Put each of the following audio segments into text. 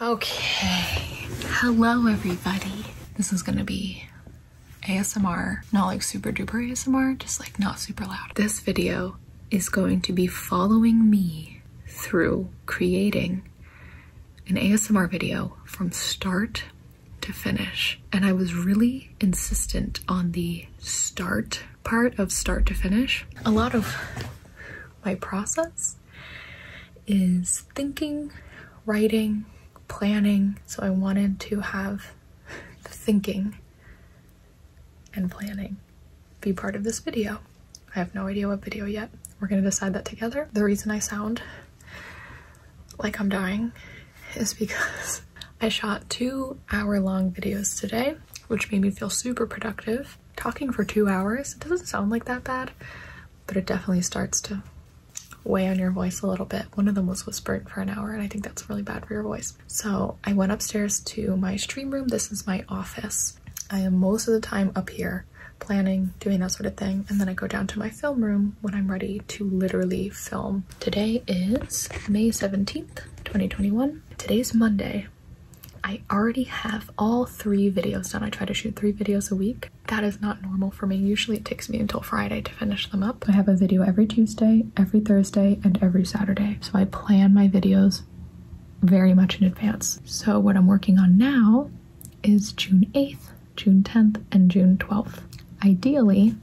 Okay, hello everybody. This is gonna be ASMR, not like super duper ASMR, just like not super loud. This video is going to be following me through creating an ASMR video from start to finish. And I was really insistent on the start part of start to finish. A lot of my process is thinking, writing, planning. So I wanted to have the thinking and planning be part of this video. I have no idea what video yet. We're gonna decide that together. The reason I sound like I'm dying is because I shot two hour long videos today, which made me feel super productive. Talking for two hours, it doesn't sound like that bad, but it definitely starts to weigh on your voice a little bit. One of them was whispered for an hour, and I think that's really bad for your voice. So I went upstairs to my stream room. This is my office. I am most of the time up here planning, doing that sort of thing. And then I go down to my film room when I'm ready to literally film. Today is May 17th, 2021. Today's Monday. I already have all three videos done. I try to shoot three videos a week. That is not normal for me. Usually it takes me until Friday to finish them up. I have a video every Tuesday, every Thursday, and every Saturday. So I plan my videos very much in advance. So what I'm working on now is June 8th, June 10th, and June 12th. Ideally,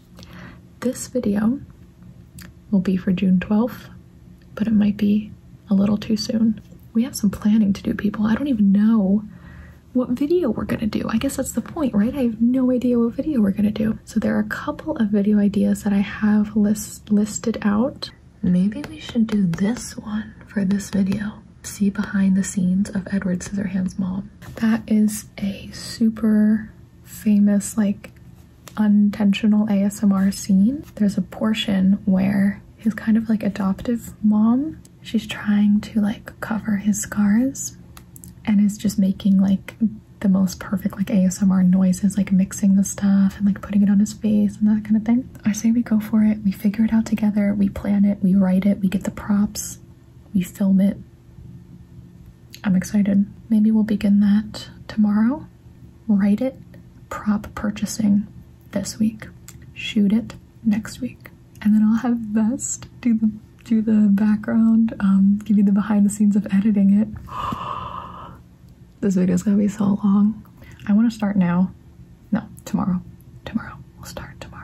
this video will be for June 12th, but it might be a little too soon. We have some planning to do, people. I don't even know what video we're gonna do. I guess that's the point, right? I have no idea what video we're gonna do. So there are a couple of video ideas that I have list listed out. Maybe we should do this one for this video. See behind the scenes of Edward Scissorhands' mom. That is a super famous, like, unintentional ASMR scene. There's a portion where his kind of like adoptive mom she's trying to like cover his scars and is just making like the most perfect like ASMR noises, like mixing the stuff and like putting it on his face and that kind of thing. I say we go for it, we figure it out together, we plan it, we write it, we get the props, we film it. I'm excited. Maybe we'll begin that tomorrow. Write it, prop purchasing this week. Shoot it, next week, and then I'll have Best do the do the background, um, give you the behind the scenes of editing it. this video is gonna be so long. I want to start now. No, tomorrow. Tomorrow. We'll start tomorrow.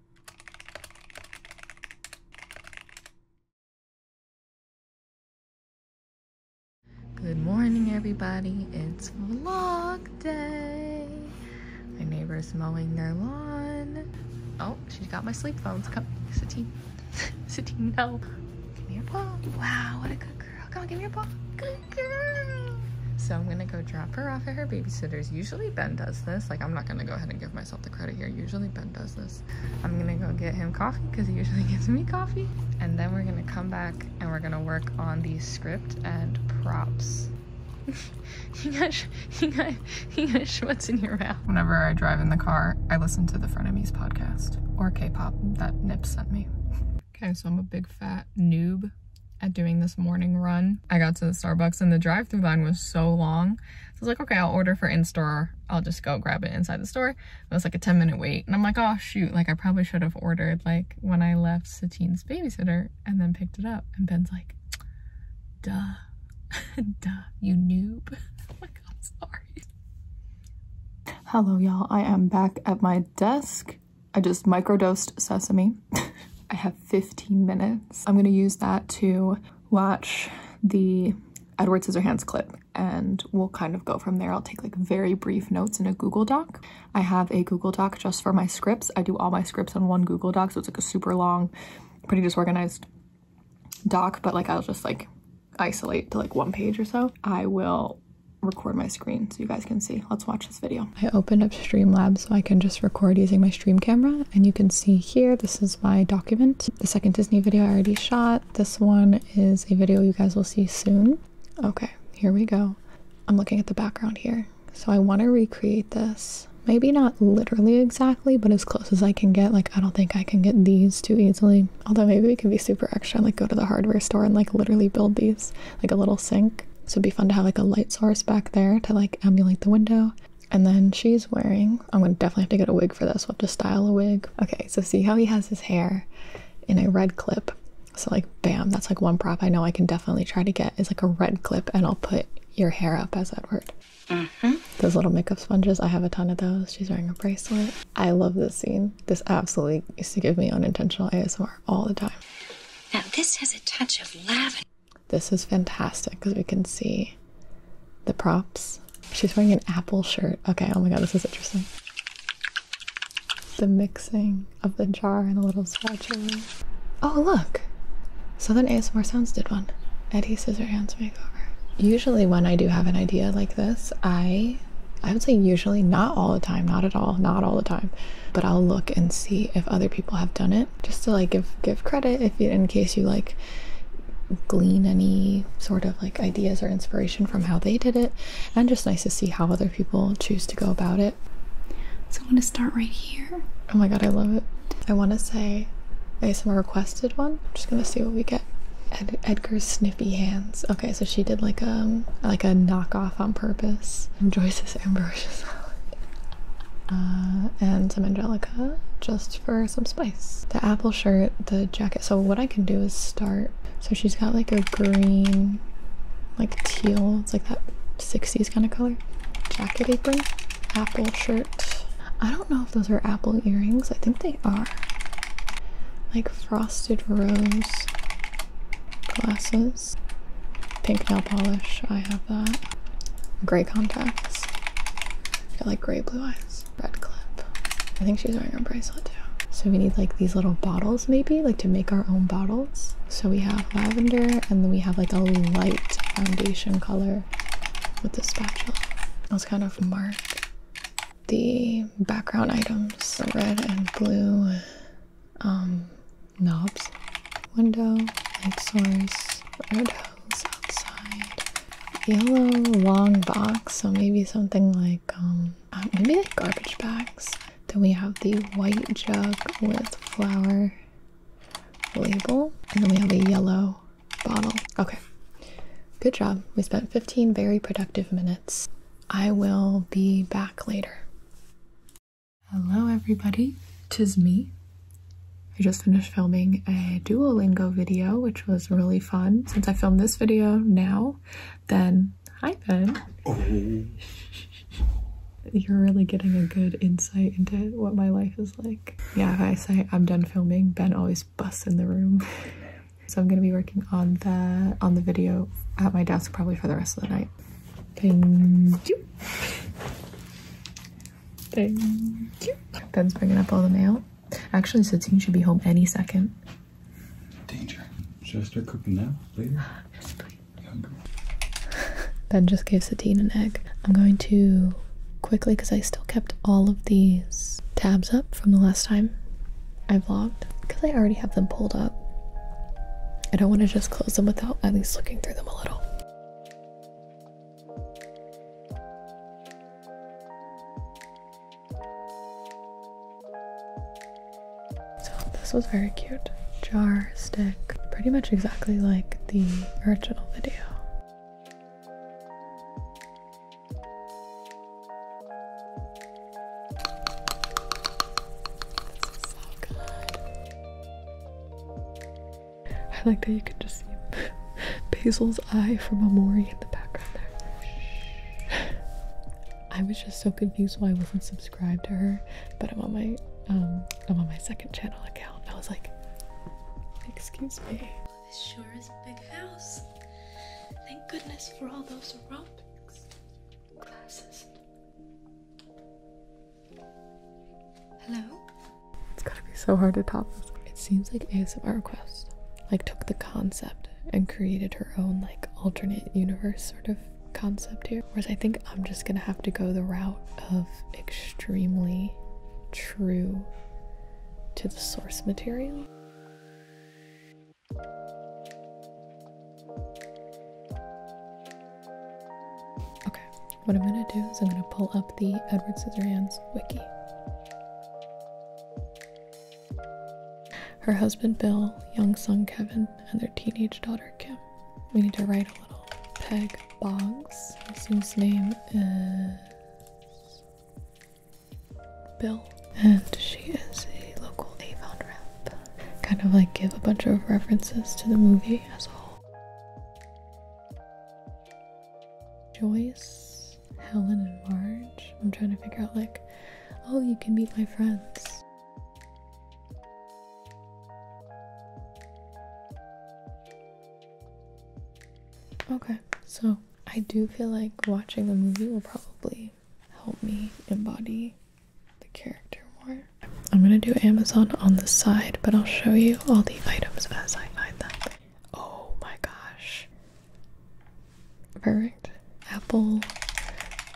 Good morning, everybody. It's vlog day. My neighbor's mowing their lawn. Oh, she's got my sleep phones. Come, Satine. Satine, no. Give me your paw. Wow, what a good girl. Come on, give me your paw. Good girl. So I'm gonna go drop her off at her babysitter's. Usually Ben does this. Like, I'm not gonna go ahead and give my myself the credit here. Usually Ben does this. I'm gonna go get him coffee because he usually gives me coffee. And then we're gonna come back and we're gonna work on the script and props. you got, you got, you got schmutz in your mouth. Whenever I drive in the car, I listen to the Frenemies podcast or K-pop that Nip sent me. okay, so I'm a big fat noob at doing this morning run. I got to the Starbucks and the drive-through line was so long so I was like, okay, I'll order for in-store. I'll just go grab it inside the store. It was like a 10 minute wait. And I'm like, oh shoot, like I probably should have ordered like when I left Satine's babysitter and then picked it up. And Ben's like, duh, duh, you noob. Oh my god, I'm sorry. Hello y'all, I am back at my desk. I just microdosed sesame. I have 15 minutes. I'm gonna use that to watch the Edward Scissorhands clip and we'll kind of go from there. I'll take like very brief notes in a Google Doc. I have a Google Doc just for my scripts. I do all my scripts on one Google Doc, so it's like a super long, pretty disorganized doc, but like I'll just like isolate to like one page or so. I will record my screen so you guys can see. Let's watch this video. I opened up Streamlabs so I can just record using my stream camera and you can see here this is my document the second disney video i already shot this one is a video you guys will see soon okay here we go i'm looking at the background here so i want to recreate this maybe not literally exactly but as close as i can get like i don't think i can get these too easily although maybe we can be super extra and like go to the hardware store and like literally build these like a little sink so it'd be fun to have like a light source back there to like emulate the window and then she's wearing, I'm gonna definitely have to get a wig for this. We'll have to style a wig. Okay, so see how he has his hair in a red clip. So like bam, that's like one prop I know I can definitely try to get is like a red clip and I'll put your hair up as Edward. Mm-hmm. Those little makeup sponges, I have a ton of those. She's wearing a bracelet. I love this scene. This absolutely used to give me unintentional ASMR all the time. Now this has a touch of lavender. This is fantastic because we can see the props. She's wearing an apple shirt. Okay, oh my god, this is interesting. The mixing of the jar and the little spatula. Oh, look! Southern ASMR Sounds did one. Eddie Scissorhands makeover. Usually when I do have an idea like this, I I would say usually not all the time, not at all, not all the time, but I'll look and see if other people have done it just to like give give credit if in case you like glean any sort of like ideas or inspiration from how they did it and just nice to see how other people choose to go about it so i'm going to start right here oh my god i love it i want to say some requested one just going to see what we get Ed edgar's snippy hands okay so she did like um like a knockoff on purpose enjoys this ambrosia salad Uh, and some angelica just for some spice. The apple shirt, the jacket. So what I can do is start. So she's got like a green, like teal. It's like that 60s kind of color. Jacket apron, apple shirt. I don't know if those are apple earrings. I think they are. Like frosted rose glasses. Pink nail polish. I have that. Gray contacts. I feel like gray blue eyes. Red clip. I think she's wearing a bracelet too. So we need like these little bottles maybe, like to make our own bottles. So we have lavender and then we have like a light foundation color with the spatula. Let's kind of mark the background items, red and blue um, knobs, window, light source, red outside. Yellow long box, so maybe something like um uh, maybe like garbage bags. Then we have the white jug with flower label, and then we have a yellow bottle. Okay. Good job. We spent 15 very productive minutes. I will be back later. Hello everybody, tis me. I just finished filming a Duolingo video, which was really fun. Since I filmed this video now, then hi Ben. Oh. You're really getting a good insight into what my life is like. Yeah, I say I'm done filming, Ben always busts in the room. so I'm gonna be working on the on the video at my desk probably for the rest of the night. Thank you. Thank Ben's bringing up all the mail. Actually, Satine should be home any second. Danger. Should I start cooking now? Later? please. ben just gave Satine an egg. I'm going to quickly, because I still kept all of these tabs up from the last time I vlogged, because I already have them pulled up. I don't want to just close them without at least looking through them a little. So this was very cute. Jar stick, pretty much exactly like the original video. This is so good. I like that you can just see Basil's eye from Amori in the background there. I was just so confused why I wasn't subscribed to her, but I'm on my um I'm on my second channel account. I was like, excuse me. This sure is a big house. Thank goodness for all those aerobics classes. Hello? It's gotta be so hard to talk. this. It seems like ASMR Request like took the concept and created her own like alternate universe sort of concept here. Whereas I think I'm just gonna have to go the route of extremely true to the source material. Okay, what I'm going to do is I'm going to pull up the Edward Scissorhands wiki. Her husband Bill, young son Kevin, and their teenage daughter Kim. We need to write a little peg Boggs. His name is Bill, and she is a local Avon rep. Kind of like give a bunch of references to the movie as a whole. Joyce, Helen, and Marge. I'm trying to figure out, like, oh, you can meet my friends. Okay, so I do feel like watching the movie will probably help me embody the character more. I'm gonna do Amazon on the side, but I'll show you all the items as I find them. Oh my gosh. Perfect. Apple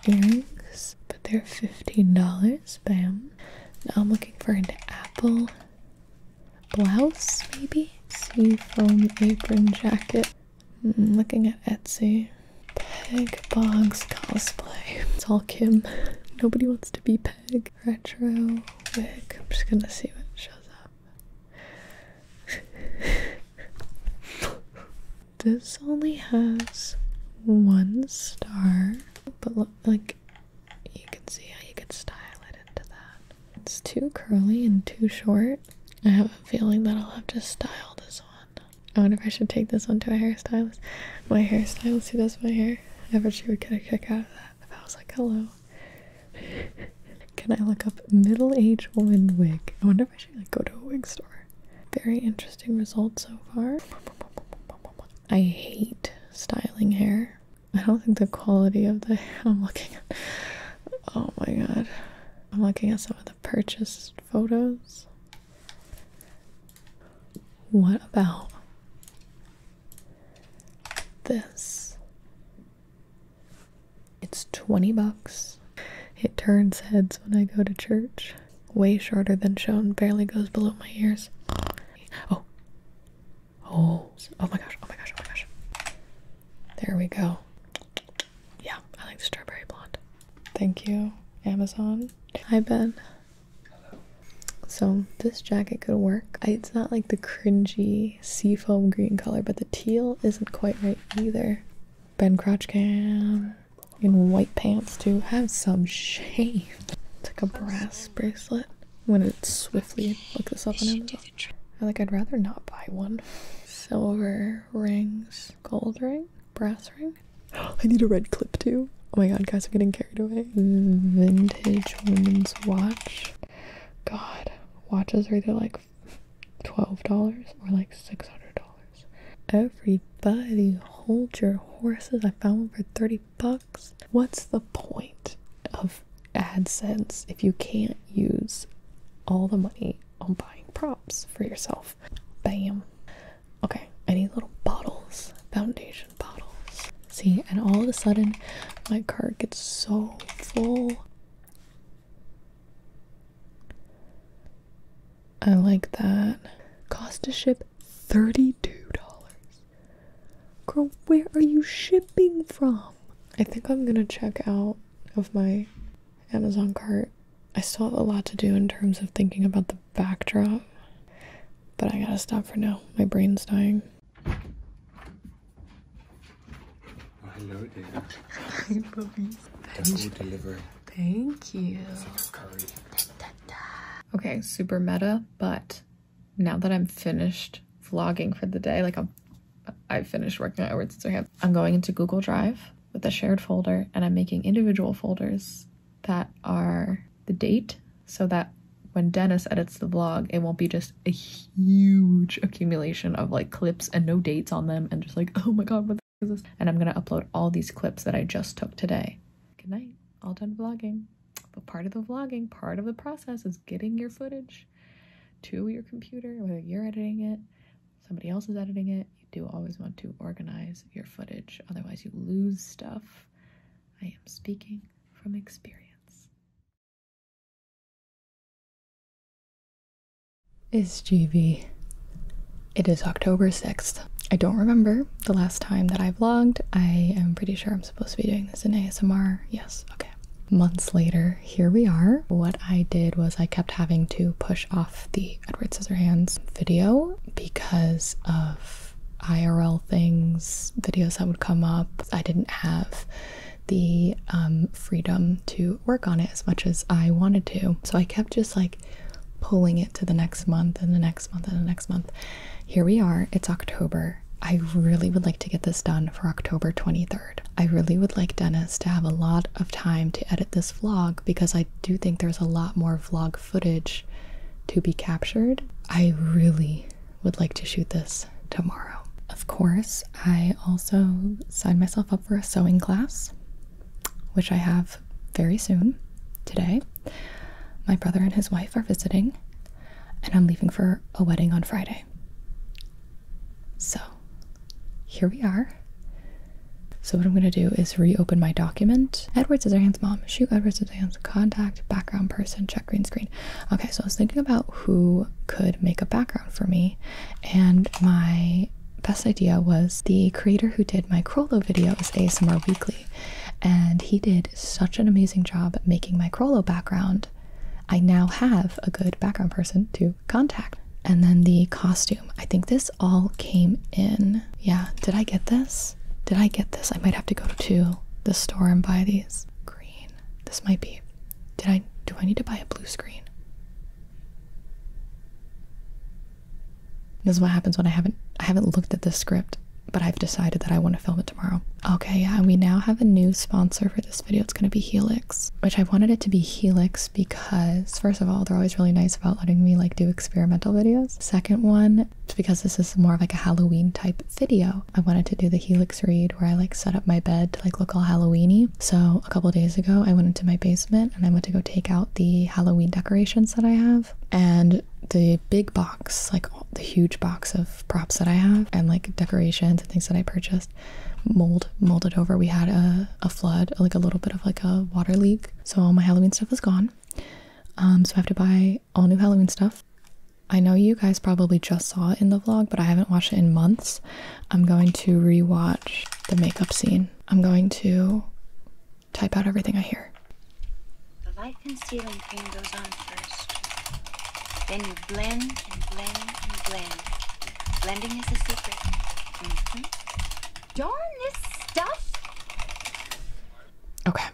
earrings, but they're $15. Bam. Now I'm looking for an apple blouse, maybe? Seafoam apron jacket. I'm mm, looking at Etsy. Peg Boggs cosplay. It's all Kim. Nobody wants to be retro wig. I'm just gonna see what shows up. this only has one star, but look, like you can see how you could style it into that. It's too curly and too short. I have a feeling that I'll have to style this one. I wonder if I should take this one to a hairstylist. My hairstylist who does my hair. I bet she would get a kick out of that if I was like, hello, can I look up middle-aged woman wig? I wonder if I should like, go to a wig store. Very interesting result so far. I hate styling hair. I don't think the quality of the I'm looking Oh my god. I'm looking at some of the purchased photos. What about this. It's 20 bucks. It turns heads when I go to church. Way shorter than shown, barely goes below my ears. Oh. Oh. Oh my gosh. Oh my gosh. Oh my gosh. There we go. Yeah, I like the strawberry blonde. Thank you, Amazon. Hi, Ben. Hello. So, this jacket could work. It's not like the cringy seafoam green color, but the teal isn't quite right either. Ben Crotchcam in white pants to have some shame. It's like a brass bracelet. I'm gonna swiftly look this up on Amazon. I like I'd rather not buy one. Silver rings, gold ring, brass ring. I need a red clip too. Oh my god, guys, I'm getting carried away. Vintage women's watch. God, watches are either like $12 or like $600. Everybody, hold your horses. I found one for 30 bucks. What's the point of AdSense if you can't use all the money on buying props for yourself? Bam. Okay, any little bottles, foundation bottles. See, and all of a sudden my cart gets so full. I like that. Cost to ship $32. Girl, where are you shipping from? I think I'm gonna check out of my Amazon cart. I still have a lot to do in terms of thinking about the backdrop, but I gotta stop for now. My brain's dying. Oh, hello there. Thank, you. Okay, super meta, but now that I'm finished vlogging for the day, like I'm, I finished working outwards, so I I'm going into Google Drive with a shared folder and I'm making individual folders that are the date so that when Dennis edits the vlog, it won't be just a huge accumulation of like clips and no dates on them and just like, oh my god, what the is this? And I'm gonna upload all these clips that I just took today. Good night, all done vlogging. But part of the vlogging, part of the process is getting your footage to your computer, whether you're editing it, somebody else is editing it. You do always want to organize your footage, otherwise you lose stuff. I am speaking from experience. Is GV. It is October 6th. I don't remember the last time that I vlogged. I am pretty sure I'm supposed to be doing this in ASMR. Yes, okay. Months later, here we are. What I did was I kept having to push off the Edward Scissorhands video because of IRL things, videos that would come up. I didn't have the um, freedom to work on it as much as I wanted to. So I kept just like pulling it to the next month and the next month and the next month. Here we are, it's October. I really would like to get this done for October 23rd. I really would like Dennis to have a lot of time to edit this vlog because I do think there's a lot more vlog footage to be captured. I really, would like to shoot this tomorrow. Of course, I also signed myself up for a sewing class, which I have very soon today. My brother and his wife are visiting, and I'm leaving for a wedding on Friday. So here we are. So what I'm going to do is reopen my document. Edward Scissorhands mom, shoot Edward hands. contact, background person, check green screen. Okay, so I was thinking about who could make a background for me, and my best idea was the creator who did my Crollo video is ASMR Weekly, and he did such an amazing job making my Crollo background. I now have a good background person to contact. And then the costume. I think this all came in. Yeah, did I get this? Did I get this? I might have to go to the store and buy these. Green. This might be. Did I do I need to buy a blue screen? This is what happens when I haven't I haven't looked at the script, but I've decided that I want to film it tomorrow. Okay, and we now have a new sponsor for this video. It's gonna be Helix, which I wanted it to be Helix because first of all, they're always really nice about letting me like do experimental videos. Second one, it's because this is more of like a Halloween type video. I wanted to do the Helix read where I like set up my bed to like look all Halloweeny. So a couple days ago, I went into my basement and I went to go take out the Halloween decorations that I have and the big box, like the huge box of props that I have and like decorations and things that I purchased mold molded over. We had a, a flood, like a little bit of like a water leak. So all my Halloween stuff is gone. Um, so I have to buy all new Halloween stuff. I know you guys probably just saw it in the vlog, but I haven't watched it in months. I'm going to rewatch the makeup scene. I'm going to type out everything I hear. The light concealing cream goes on first. Then you blend and blend and blend. Blending is a secret. Mm-hmm. Darn this stuff! Okay.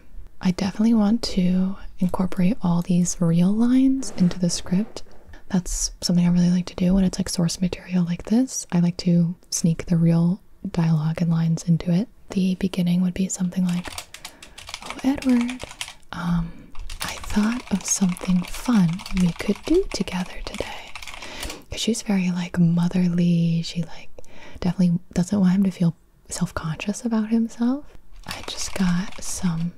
I definitely want to incorporate all these real lines into the script that's something I really like to do when it's like source material like this. I like to sneak the real dialogue and lines into it. The beginning would be something like, Oh, Edward, um, I thought of something fun we could do together today. she's very like motherly. She like definitely doesn't want him to feel self conscious about himself. I just got some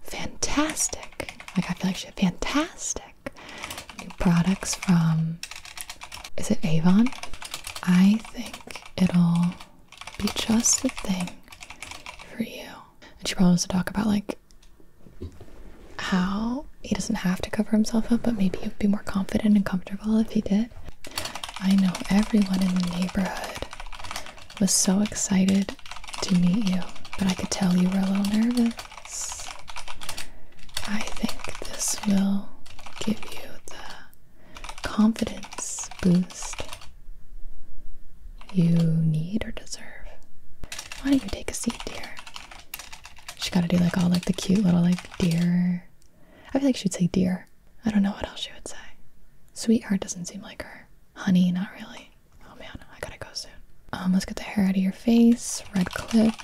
fantastic. Like I feel like she had fantastic new products from is it Avon? I think it'll be just the thing for you. And she probably wants to talk about like how he doesn't have to cover himself up, but maybe he'd be more confident and comfortable if he did. I know everyone in the neighborhood was so excited to meet you, but I could tell you were a little nervous. I think this will give you the confidence boost you need or deserve. Why don't you take a seat, dear? She gotta do like all like the cute little like dear. I feel like she'd say dear. I don't know what else she would say. Sweetheart doesn't seem like her. Honey, not really. Oh man, I gotta go soon. Um, let's get the hair out of your face. Red clip.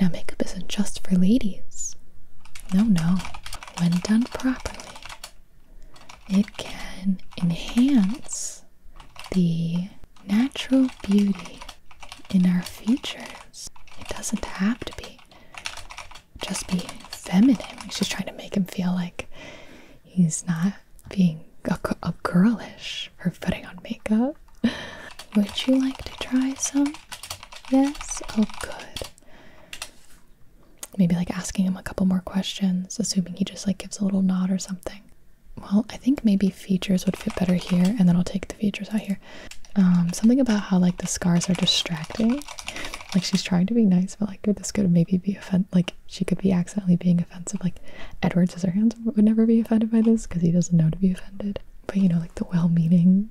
Now, makeup isn't just for ladies. No, no. When done properly, it can enhance the natural beauty in our features. It doesn't have to be just be feminine. She's trying to make him feel like He's not being a, girlish for putting on makeup. Would you like to try some? Yes? Oh, good. Maybe like asking him a couple more questions, assuming he just like gives a little nod or something. Well, I think maybe features would fit better here, and then I'll take the features out here. Um, something about how like the scars are distracting like she's trying to be nice, but like this could maybe be offend. Like she could be accidentally being offensive. Like Edward her Scissorhands would never be offended by this because he doesn't know to be offended. But you know, like the well-meaning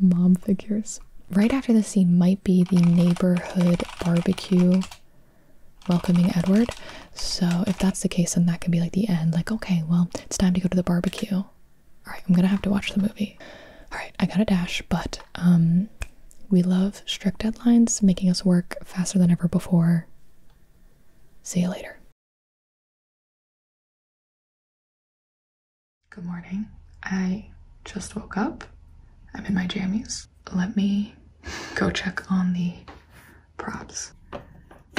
mom figures. Right after the scene might be the neighborhood barbecue welcoming Edward. So if that's the case, then that can be like the end. Like okay, well it's time to go to the barbecue. All right, I'm gonna have to watch the movie. All right, I got a dash, but um, we love strict deadlines, making us work faster than ever before. See you later. Good morning. I just woke up. I'm in my jammies. Let me go check on the props.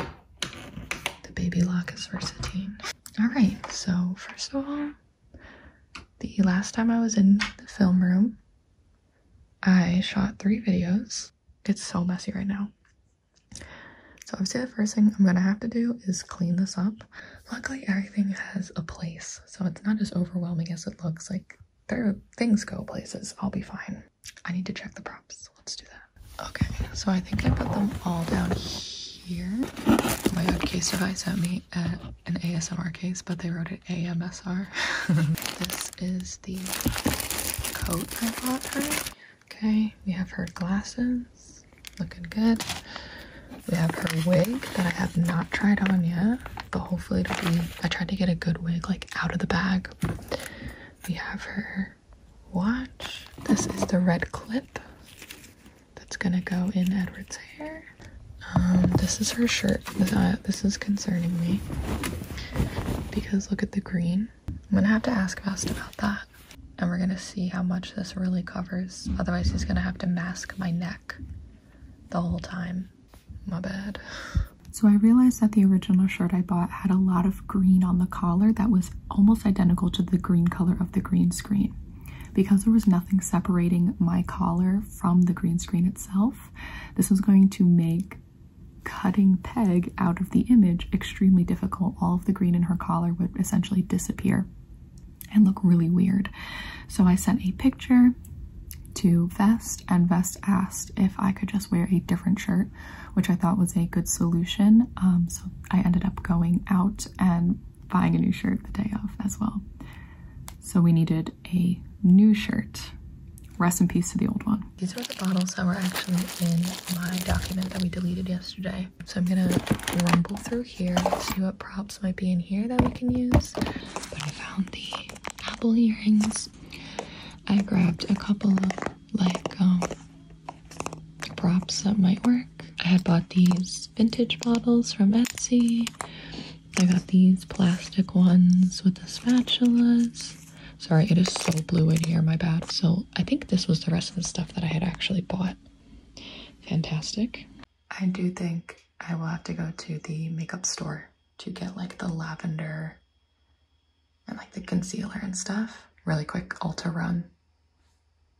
The baby lock is versatine. Alright, so first of all, the last time I was in the film room, I shot three videos. It's so messy right now. So obviously the first thing I'm gonna have to do is clean this up. Luckily everything has a place, so it's not as overwhelming as it looks. Like there things go places. I'll be fine. I need to check the props. Let's do that. Okay, so I think I put them all down here. Oh my god, Casey, I sent me at an ASMR case, but they wrote it AMSR. this is the coat I bought her. Okay, we have her glasses, looking good. We have her wig that I have not tried on yet, but hopefully it'll be. I tried to get a good wig like out of the bag. We have her watch. This is the red clip that's gonna go in Edward's hair. Um, this is her shirt. This, this is concerning me because look at the green. I'm gonna have to ask Vest about that. And we're gonna see how much this really covers. Otherwise, he's gonna have to mask my neck the whole time. My bad. So I realized that the original shirt I bought had a lot of green on the collar that was almost identical to the green color of the green screen. Because there was nothing separating my collar from the green screen itself, this was going to make cutting Peg out of the image extremely difficult. All of the green in her collar would essentially disappear and look really weird. So I sent a picture to Vest, and Vest asked if I could just wear a different shirt, which I thought was a good solution. Um, so I ended up going out and buying a new shirt the day of as well. So we needed a new shirt. Rest in peace to the old one. These are the bottles that were actually in my document that we deleted yesterday. So I'm gonna rumble through here, see what props might be in here that we can use. But I found the apple earrings. I grabbed a couple of like um, props that might work. I had bought these vintage bottles from Etsy. I got these plastic ones with the spatulas. Sorry, it is so blue in here, my bad. So I think this was the rest of the stuff that I had actually bought. Fantastic. I do think I will have to go to the makeup store to get like the lavender and like the concealer and stuff. Really quick Ulta run.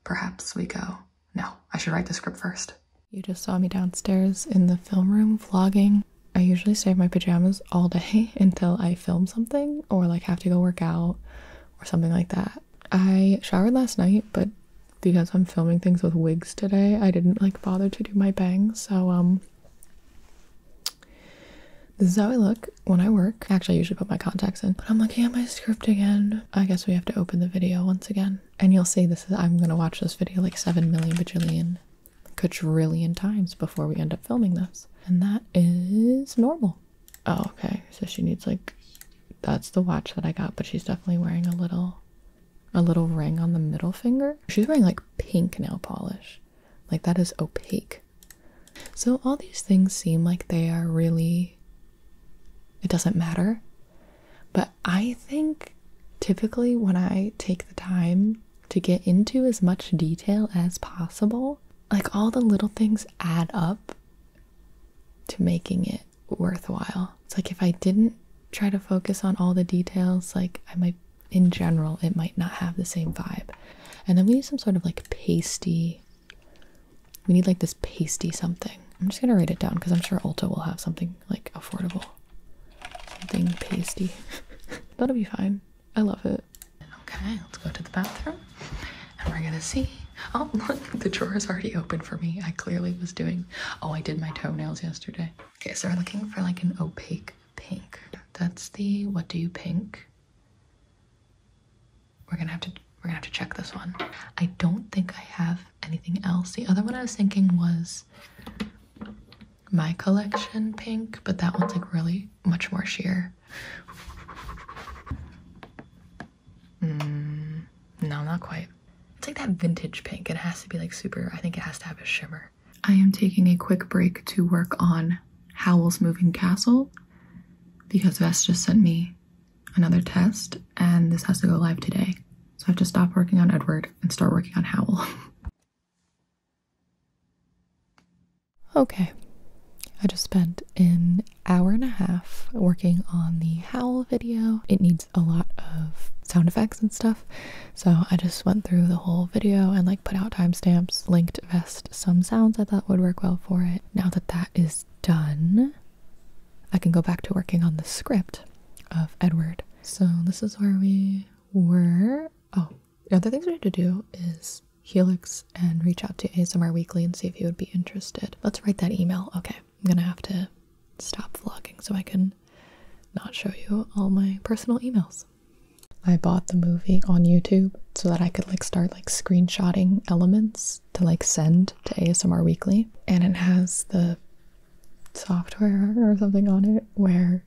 Perhaps we go. No, I should write the script first. You just saw me downstairs in the film room vlogging. I usually save my pajamas all day until I film something or like have to go work out or something like that. I showered last night, but because I'm filming things with wigs today, I didn't like bother to do my bangs. So um this is how I look when I work. Actually, I usually put my contacts in, but I'm looking at my script again. I guess we have to open the video once again. And you'll see this is I'm gonna watch this video like seven million bajillion quadrillion times before we end up filming this. And that is normal. Oh, okay. So she needs like that's the watch that I got, but she's definitely wearing a little a little ring on the middle finger. She's wearing like pink nail polish. Like that is opaque. So all these things seem like they are really it doesn't matter. But I think typically when I take the time to get into as much detail as possible. Like all the little things add up to making it worthwhile. It's like if I didn't try to focus on all the details, like I might, in general, it might not have the same vibe. And then we need some sort of like pasty, we need like this pasty something. I'm just gonna write it down because I'm sure Ulta will have something like affordable something pasty. That'll be fine. I love it. Okay, let's go to the bathroom and we're gonna see. Oh, look, the drawer is already open for me. I clearly was doing. Oh, I did my toenails yesterday. Okay, so we're looking for like an opaque pink. That's the what do you pink? We're gonna have to we're gonna have to check this one. I don't think I have anything else. The other one I was thinking was my collection pink, but that one's like really much more sheer. Mm, no, not quite. It's like that vintage pink. It has to be like super, I think it has to have a shimmer. I am taking a quick break to work on Howl's Moving Castle because Vest just sent me another test and this has to go live today. So I have to stop working on Edward and start working on Howl. Okay, I just spent an hour and a half working on the howl video. It needs a lot of sound effects and stuff, so I just went through the whole video and like put out timestamps, linked vest some sounds I thought would work well for it. Now that that is done, I can go back to working on the script of Edward. So this is where we were oh the other things we have to do is helix and reach out to asmr weekly and see if you would be interested let's write that email okay i'm gonna have to stop vlogging so i can not show you all my personal emails i bought the movie on youtube so that i could like start like screenshotting elements to like send to asmr weekly and it has the software or something on it where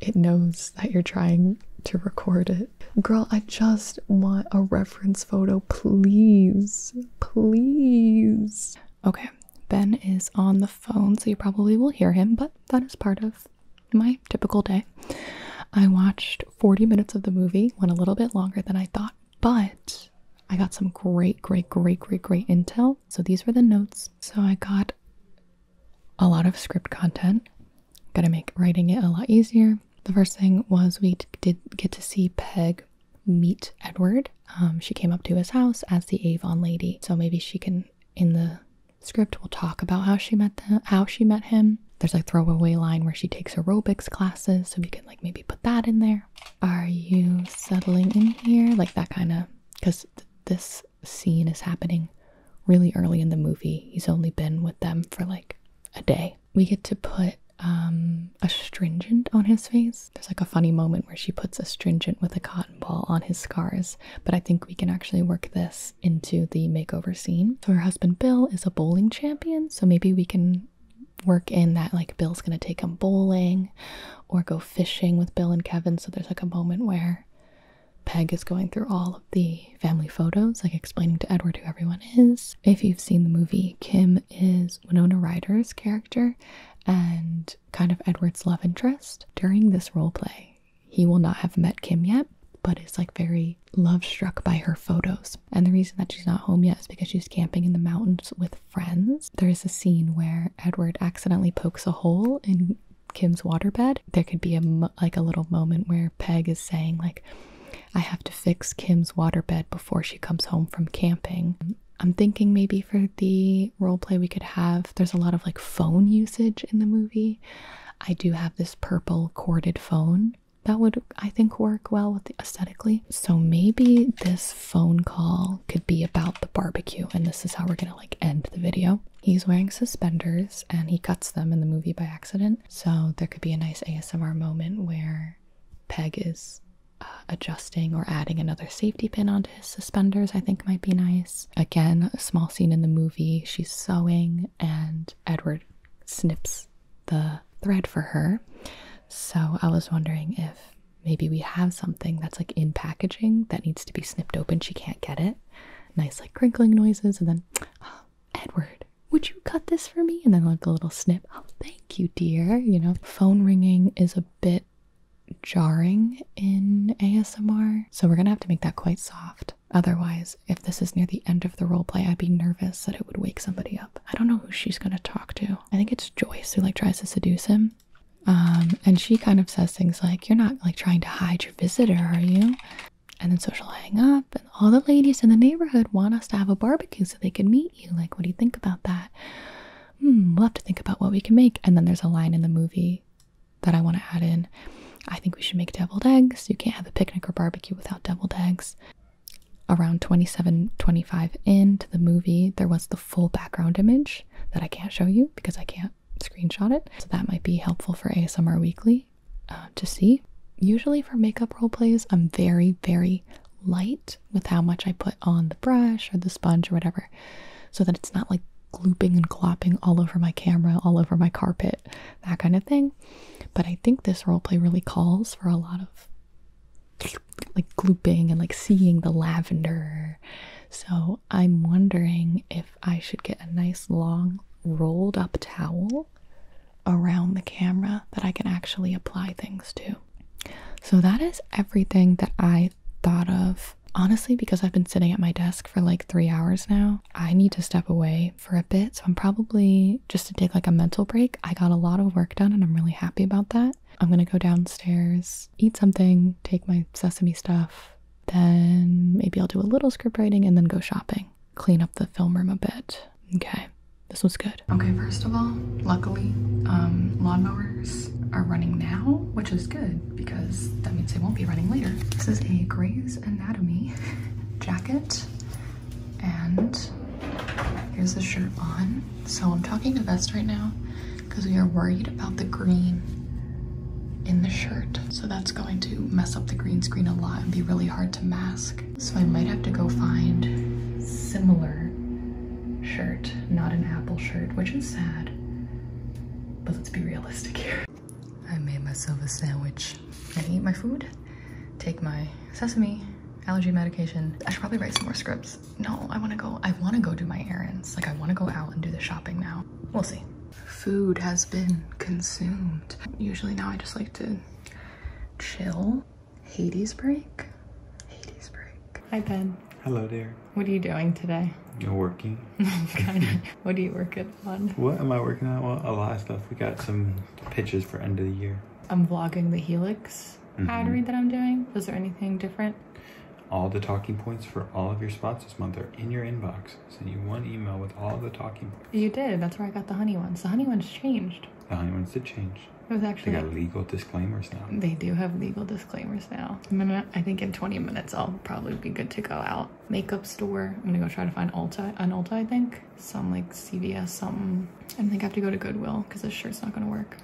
it knows that you're trying to record it. Girl, I just want a reference photo, please. Please. Okay, Ben is on the phone, so you probably will hear him, but that is part of my typical day. I watched 40 minutes of the movie, went a little bit longer than I thought, but I got some great, great, great, great, great intel. So these were the notes. So I got a lot of script content. Gotta make writing it a lot easier. The first thing was we did get to see Peg meet Edward. Um, she came up to his house as the Avon lady, so maybe she can in the script we will talk about how she met the, how she met him. There's a throwaway line where she takes aerobics classes, so we can like maybe put that in there. Are you settling in here? Like that kind of because this scene is happening really early in the movie. He's only been with them for like a day. We get to put um, astringent on his face. There's like a funny moment where she puts astringent with a cotton ball on his scars, but I think we can actually work this into the makeover scene. So her husband Bill is a bowling champion, so maybe we can work in that like Bill's gonna take him bowling or go fishing with Bill and Kevin. So there's like a moment where Peg is going through all of the family photos, like explaining to Edward who everyone is. If you've seen the movie, Kim is Winona Ryder's character and kind of Edward's love interest. During this role play, he will not have met Kim yet, but is like very love struck by her photos. And the reason that she's not home yet is because she's camping in the mountains with friends. There is a scene where Edward accidentally pokes a hole in Kim's waterbed, there could be a like a little moment where Peg is saying like I have to fix Kim's waterbed before she comes home from camping. I'm thinking maybe for the role play we could have there's a lot of like phone usage in the movie. I do have this purple corded phone that would I think work well with the aesthetically. So maybe this phone call could be about the barbecue and this is how we're going to like end the video. He's wearing suspenders and he cuts them in the movie by accident, so there could be a nice ASMR moment where Peg is uh, adjusting or adding another safety pin onto his suspenders, I think might be nice. Again, a small scene in the movie, she's sewing and Edward snips the thread for her. So I was wondering if maybe we have something that's like in packaging that needs to be snipped open. She can't can get it. Nice, like crinkling noises, and then oh, Edward, would you cut this for me? And then like a little snip. Oh, thank you, dear. You know, phone ringing is a bit jarring in ASMR, so we're gonna have to make that quite soft. Otherwise, if this is near the end of the roleplay, I'd be nervous that it would wake somebody up. I don't know who she's gonna talk to. I think it's Joyce who like tries to seduce him. Um, and she kind of says things like, You're not like trying to hide your visitor, are you? And then so she'll hang up, and all the ladies in the neighborhood want us to have a barbecue so they can meet you. Like, what do you think about that? Hmm, we'll have to think about what we can make. And then there's a line in the movie that I want to add in. I think we should make deviled eggs. You can't have a picnic or barbecue without deviled eggs. Around 27, 25 into the movie, there was the full background image that I can't show you because I can't screenshot it. So that might be helpful for ASMR Weekly uh, to see. Usually for makeup role plays, I'm very, very light with how much I put on the brush or the sponge or whatever, so that it's not like glooping and clopping all over my camera, all over my carpet, that kind of thing. But I think this role play really calls for a lot of like glooping and like seeing the lavender. So I'm wondering if I should get a nice long rolled up towel around the camera that I can actually apply things to. So that is everything that I thought of. Honestly, because I've been sitting at my desk for like three hours now, I need to step away for a bit. So I'm probably just to take like a mental break. I got a lot of work done and I'm really happy about that. I'm gonna go downstairs, eat something, take my sesame stuff, then maybe I'll do a little script writing and then go shopping. Clean up the film room a bit. Okay, this was good. Okay, first of all, luckily, um, lawnmowers are running now, which is good because that means they won't be running later. This is a Grey's Anatomy jacket, and here's the shirt on. So I'm talking to Vest right now because we are worried about the green in the shirt. So that's going to mess up the green screen a lot and be really hard to mask. So I might have to go find similar shirt, not an Apple shirt, which is sad, but let's be realistic here. I made myself a sandwich. I eat my food, take my sesame, allergy medication. I should probably write some more scripts. No, I wanna go, I wanna go do my errands. Like I wanna go out and do the shopping now. We'll see food has been consumed. Usually now I just like to chill. Hades break? Hades break. Hi, Ben. Hello there. What are you doing today? You're working. kind of. What are you working on? What am I working on? Well, a lot of stuff. We got some pitches for end of the year. I'm vlogging the Helix mm -hmm. pottery that I'm doing. Was there anything different? All the talking points for all of your spots this month are in your inbox. Send you one email with all the talking points. You did. That's where I got the honey ones. The honey ones changed. The honey ones did change. It was actually. They got legal disclaimers now. They do have legal disclaimers now. I think in 20 minutes I'll probably be good to go out. Makeup store. I'm gonna go try to find Ulta, an Ulta I think. Some like CVS something. I think I have to go to Goodwill because this shirt's not gonna work.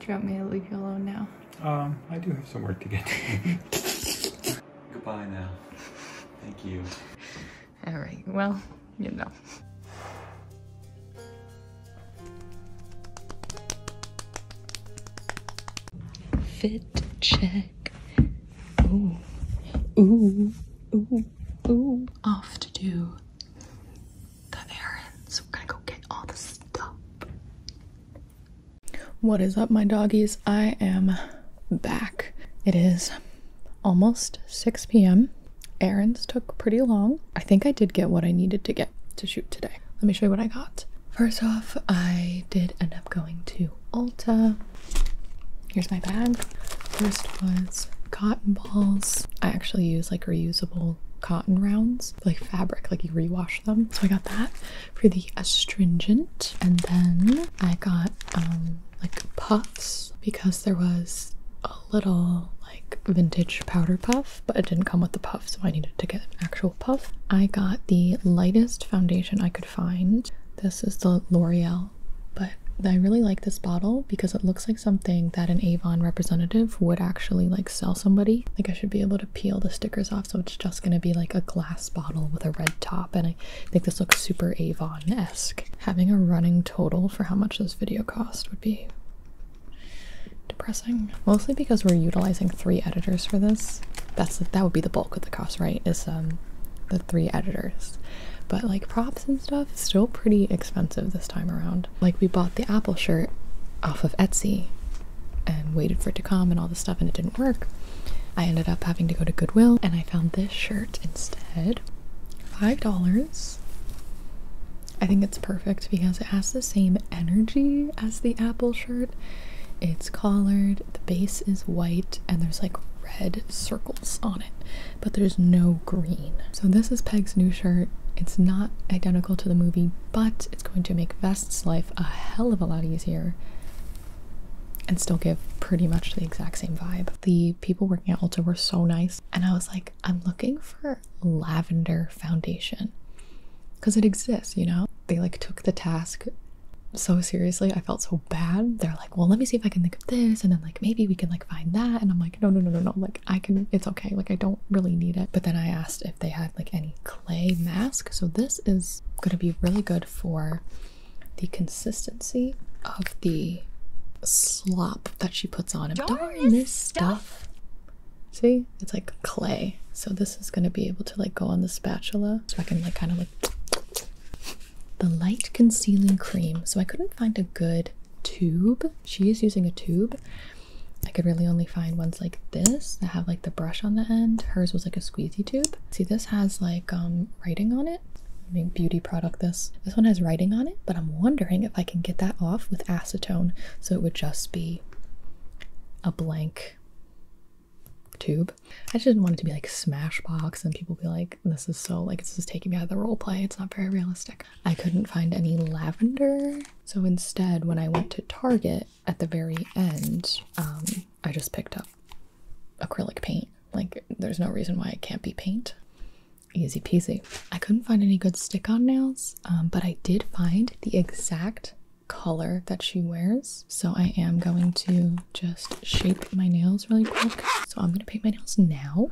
Do you want me to leave you alone now? Um, I do have some work to get to. Goodbye now. Thank you. All right, well, you know. Fit check. Ooh, ooh, ooh, ooh. Off to do the errands. We're gonna go get all the stuff. What is up, my doggies? I am back. It is almost 6 p.m. Errands took pretty long. I think I did get what I needed to get to shoot today. Let me show you what I got. First off, I did end up going to Ulta. Here's my bag. First was cotton balls. I actually use like reusable cotton rounds, like fabric, like you rewash them. So I got that for the astringent, and then I got um, like puffs because there was a little like vintage powder puff, but it didn't come with the puff, so I needed to get an actual puff. I got the lightest foundation I could find. This is the L'Oreal, but I really like this bottle because it looks like something that an Avon representative would actually like sell somebody. Like I should be able to peel the stickers off, so it's just gonna be like a glass bottle with a red top. And I think this looks super Avon esque. Having a running total for how much this video cost would be depressing. Mostly because we're utilizing three editors for this. That's that would be the bulk of the cost, right? Is um the three editors. But like props and stuff, is still pretty expensive this time around. Like we bought the Apple shirt off of Etsy and waited for it to come and all this stuff and it didn't work. I ended up having to go to Goodwill and I found this shirt instead. Five dollars. I think it's perfect because it has the same energy as the Apple shirt. It's collared, the base is white, and there's like red circles on it, but there's no green. So this is Peg's new shirt. It's not identical to the movie, but it's going to make Vest's life a hell of a lot easier and still give pretty much the exact same vibe. The people working at Ulta were so nice, and I was like, I'm looking for lavender foundation because it exists, you know? They like took the task so seriously. I felt so bad. They're like, well, let me see if I can think of this, and then like maybe we can like find that. And I'm like, no, no, no, no, no. Like I can, it's okay. Like I don't really need it. But then I asked if they had like any clay mask. So this is going to be really good for the consistency of the slop that she puts on Darn, this stuff. See? It's like clay. So this is going to be able to like go on the spatula so I can like kind of like the light concealing cream. So I couldn't find a good tube. She is using a tube. I could really only find one like this that have like the brush on the end. Hers was like a squeezy tube. See, this has like um writing on it. I mean, beauty product this. This one has writing on it, but I'm wondering if I can get that off with acetone so it would just be a blank tube. I just didn't want it to be like Smashbox and people be like, this is so like this is taking me out of the role play. It's not very realistic. I couldn't find any lavender. So instead, when I went to Target, at the very end, um, I just picked up acrylic paint. Like, there's no reason why it can't be paint. Easy peasy. I couldn't find any good stick on nails, um, but I did find the exact color that she wears. So I am going to just shape my nails really quick. So I'm gonna paint my nails now.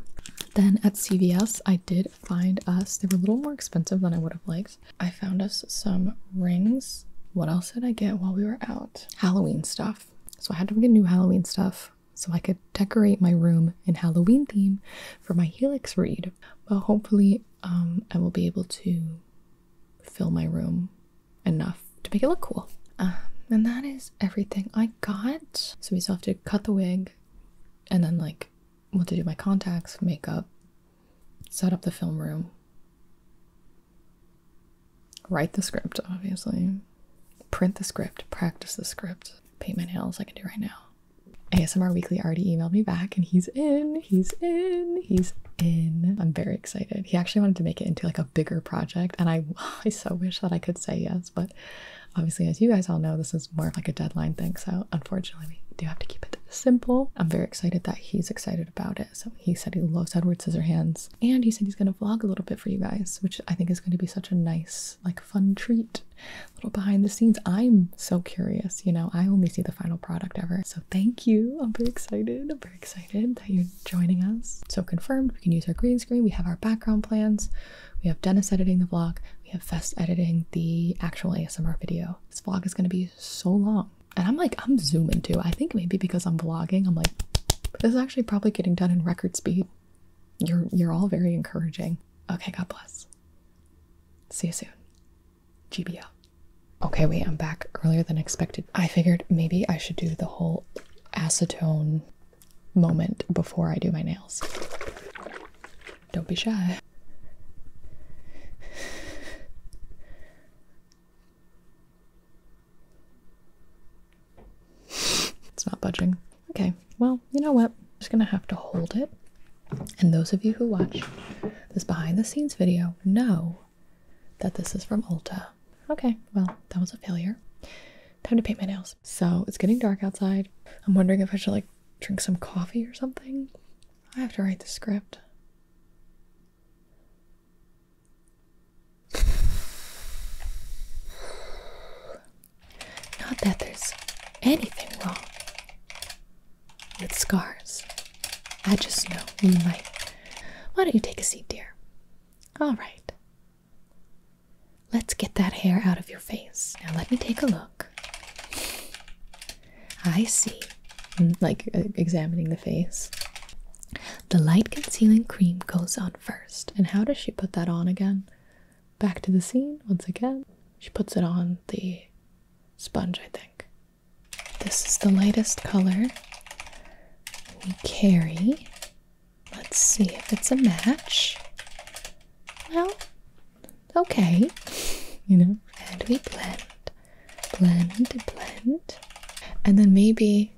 Then at CVS, I did find us, they were a little more expensive than I would have liked, I found us some rings. What else did I get while we were out? Halloween stuff. So I had to get new Halloween stuff so I could decorate my room in Halloween theme for my Helix read. But hopefully, um, I will be able to fill my room enough to make it look cool. Um, and that is everything I got. So we still have to cut the wig and then like what to do my contacts, makeup, set up the film room, write the script, obviously, print the script, practice the script, paint my nails, I can do right now. ASMR Weekly already emailed me back and he's in, he's in, he's in. I'm very excited. He actually wanted to make it into like a bigger project and I, I so wish that I could say yes, but obviously as you guys all know, this is more like a deadline thing. So unfortunately we do have to keep it simple. I'm very excited that he's excited about it. So he said he loves Edward Scissorhands, and he said he's going to vlog a little bit for you guys, which I think is going to be such a nice, like, fun treat. A little behind the scenes. I'm so curious. You know, I only see the final product ever. So thank you. I'm very excited. I'm very excited that you're joining us. So confirmed. We can use our green screen. We have our background plans. We have Dennis editing the vlog. We have Fest editing the actual ASMR video. This vlog is going to be so long. And I'm like, I'm zooming too. I think maybe because I'm vlogging, I'm like, this is actually probably getting done in record speed. You're you're all very encouraging. Okay, God bless. See you soon. GBO. Okay, wait, I'm back earlier than expected. I figured maybe I should do the whole acetone moment before I do my nails. Don't be shy it's not budging. Okay, well, you know what? I'm just gonna have to hold it. And those of you who watch this behind the scenes video know that this is from Ulta. Okay, well, that was a failure. Time to paint my nails. So it's getting dark outside. I'm wondering if I should like drink some coffee or something. I have to write the script. Not that there's anything wrong with scars. I just know you might. Why don't you take a seat, dear? All right. Let's get that hair out of your face. Now let me take a look. I see like uh, examining the face. The light concealing cream goes on first. And how does she put that on again? Back to the scene once again. She puts it on the sponge, I think. This is the lightest color we carry. Let's see if it's a match. Well, okay. You know, and we blend blend, blend, and then maybe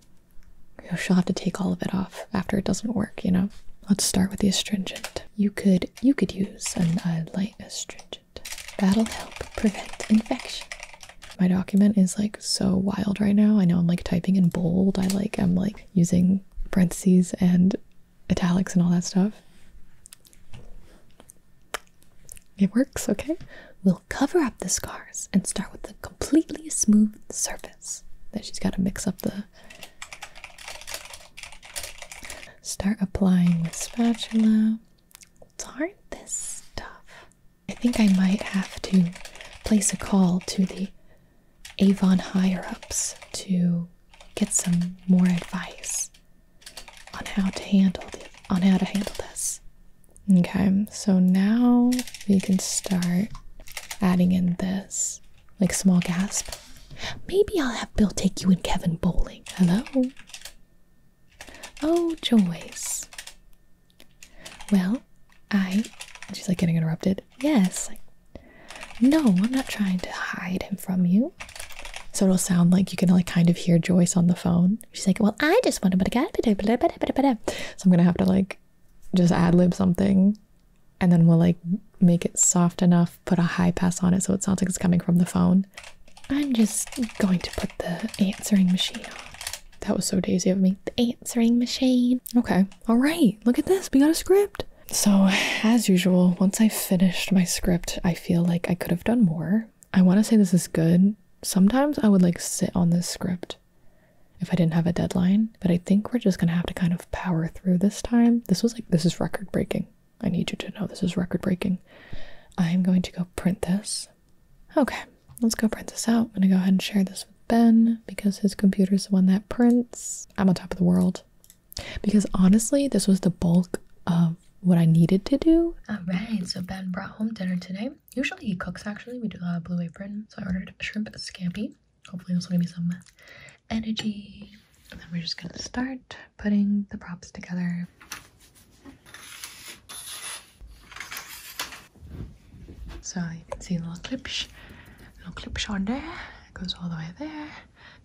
she'll have to take all of it off after it doesn't work. You know, let's start with the astringent. You could you could use an, a light astringent. That'll help prevent infection. My document is like so wild right now. I know I'm like typing in bold. I like I'm like using parentheses and italics and all that stuff. It works, okay? We'll cover up the scars and start with a completely smooth surface. Then she's got to mix up the. Start applying with spatula. Darn this stuff. I think I might have to place a call to the Avon higher ups to get some more advice on how to handle the, on how to handle this. Okay, so now we can start adding in this like small gasp. Maybe I'll have Bill take you and Kevin bowling. Hello? Oh, Joyce. Well, I. She's like getting interrupted. Yes. No, I'm not trying to hide him from you. So it'll sound like you can like kind of hear Joyce on the phone. She's like, well, I just want to So I'm gonna have to like just ad lib something, and then we'll like make it soft enough, put a high pass on it so it sounds like it's coming from the phone. I'm just going to put the answering machine on. That was so daisy of me. The answering machine. Okay. All right. Look at this. We got a script. So, as usual, once I finished my script, I feel like I could have done more. I want to say this is good. Sometimes I would like sit on this script if I didn't have a deadline, but I think we're just going to have to kind of power through this time. This was like, this is record breaking. I need you to know this is record breaking. I'm going to go print this. Okay, let's go print this out. I'm going to go ahead and share this with Ben because his computer's the one that prints. I'm on top of the world. Because honestly, this was the bulk of what I needed to do. All right, so Ben brought home dinner today. Usually he cooks actually. We do a uh, blue apron. So I ordered shrimp scampi. Hopefully this will give me some energy. And then we're just gonna start putting the props together. So you can see the little clips, little clips on there. It goes all the way there.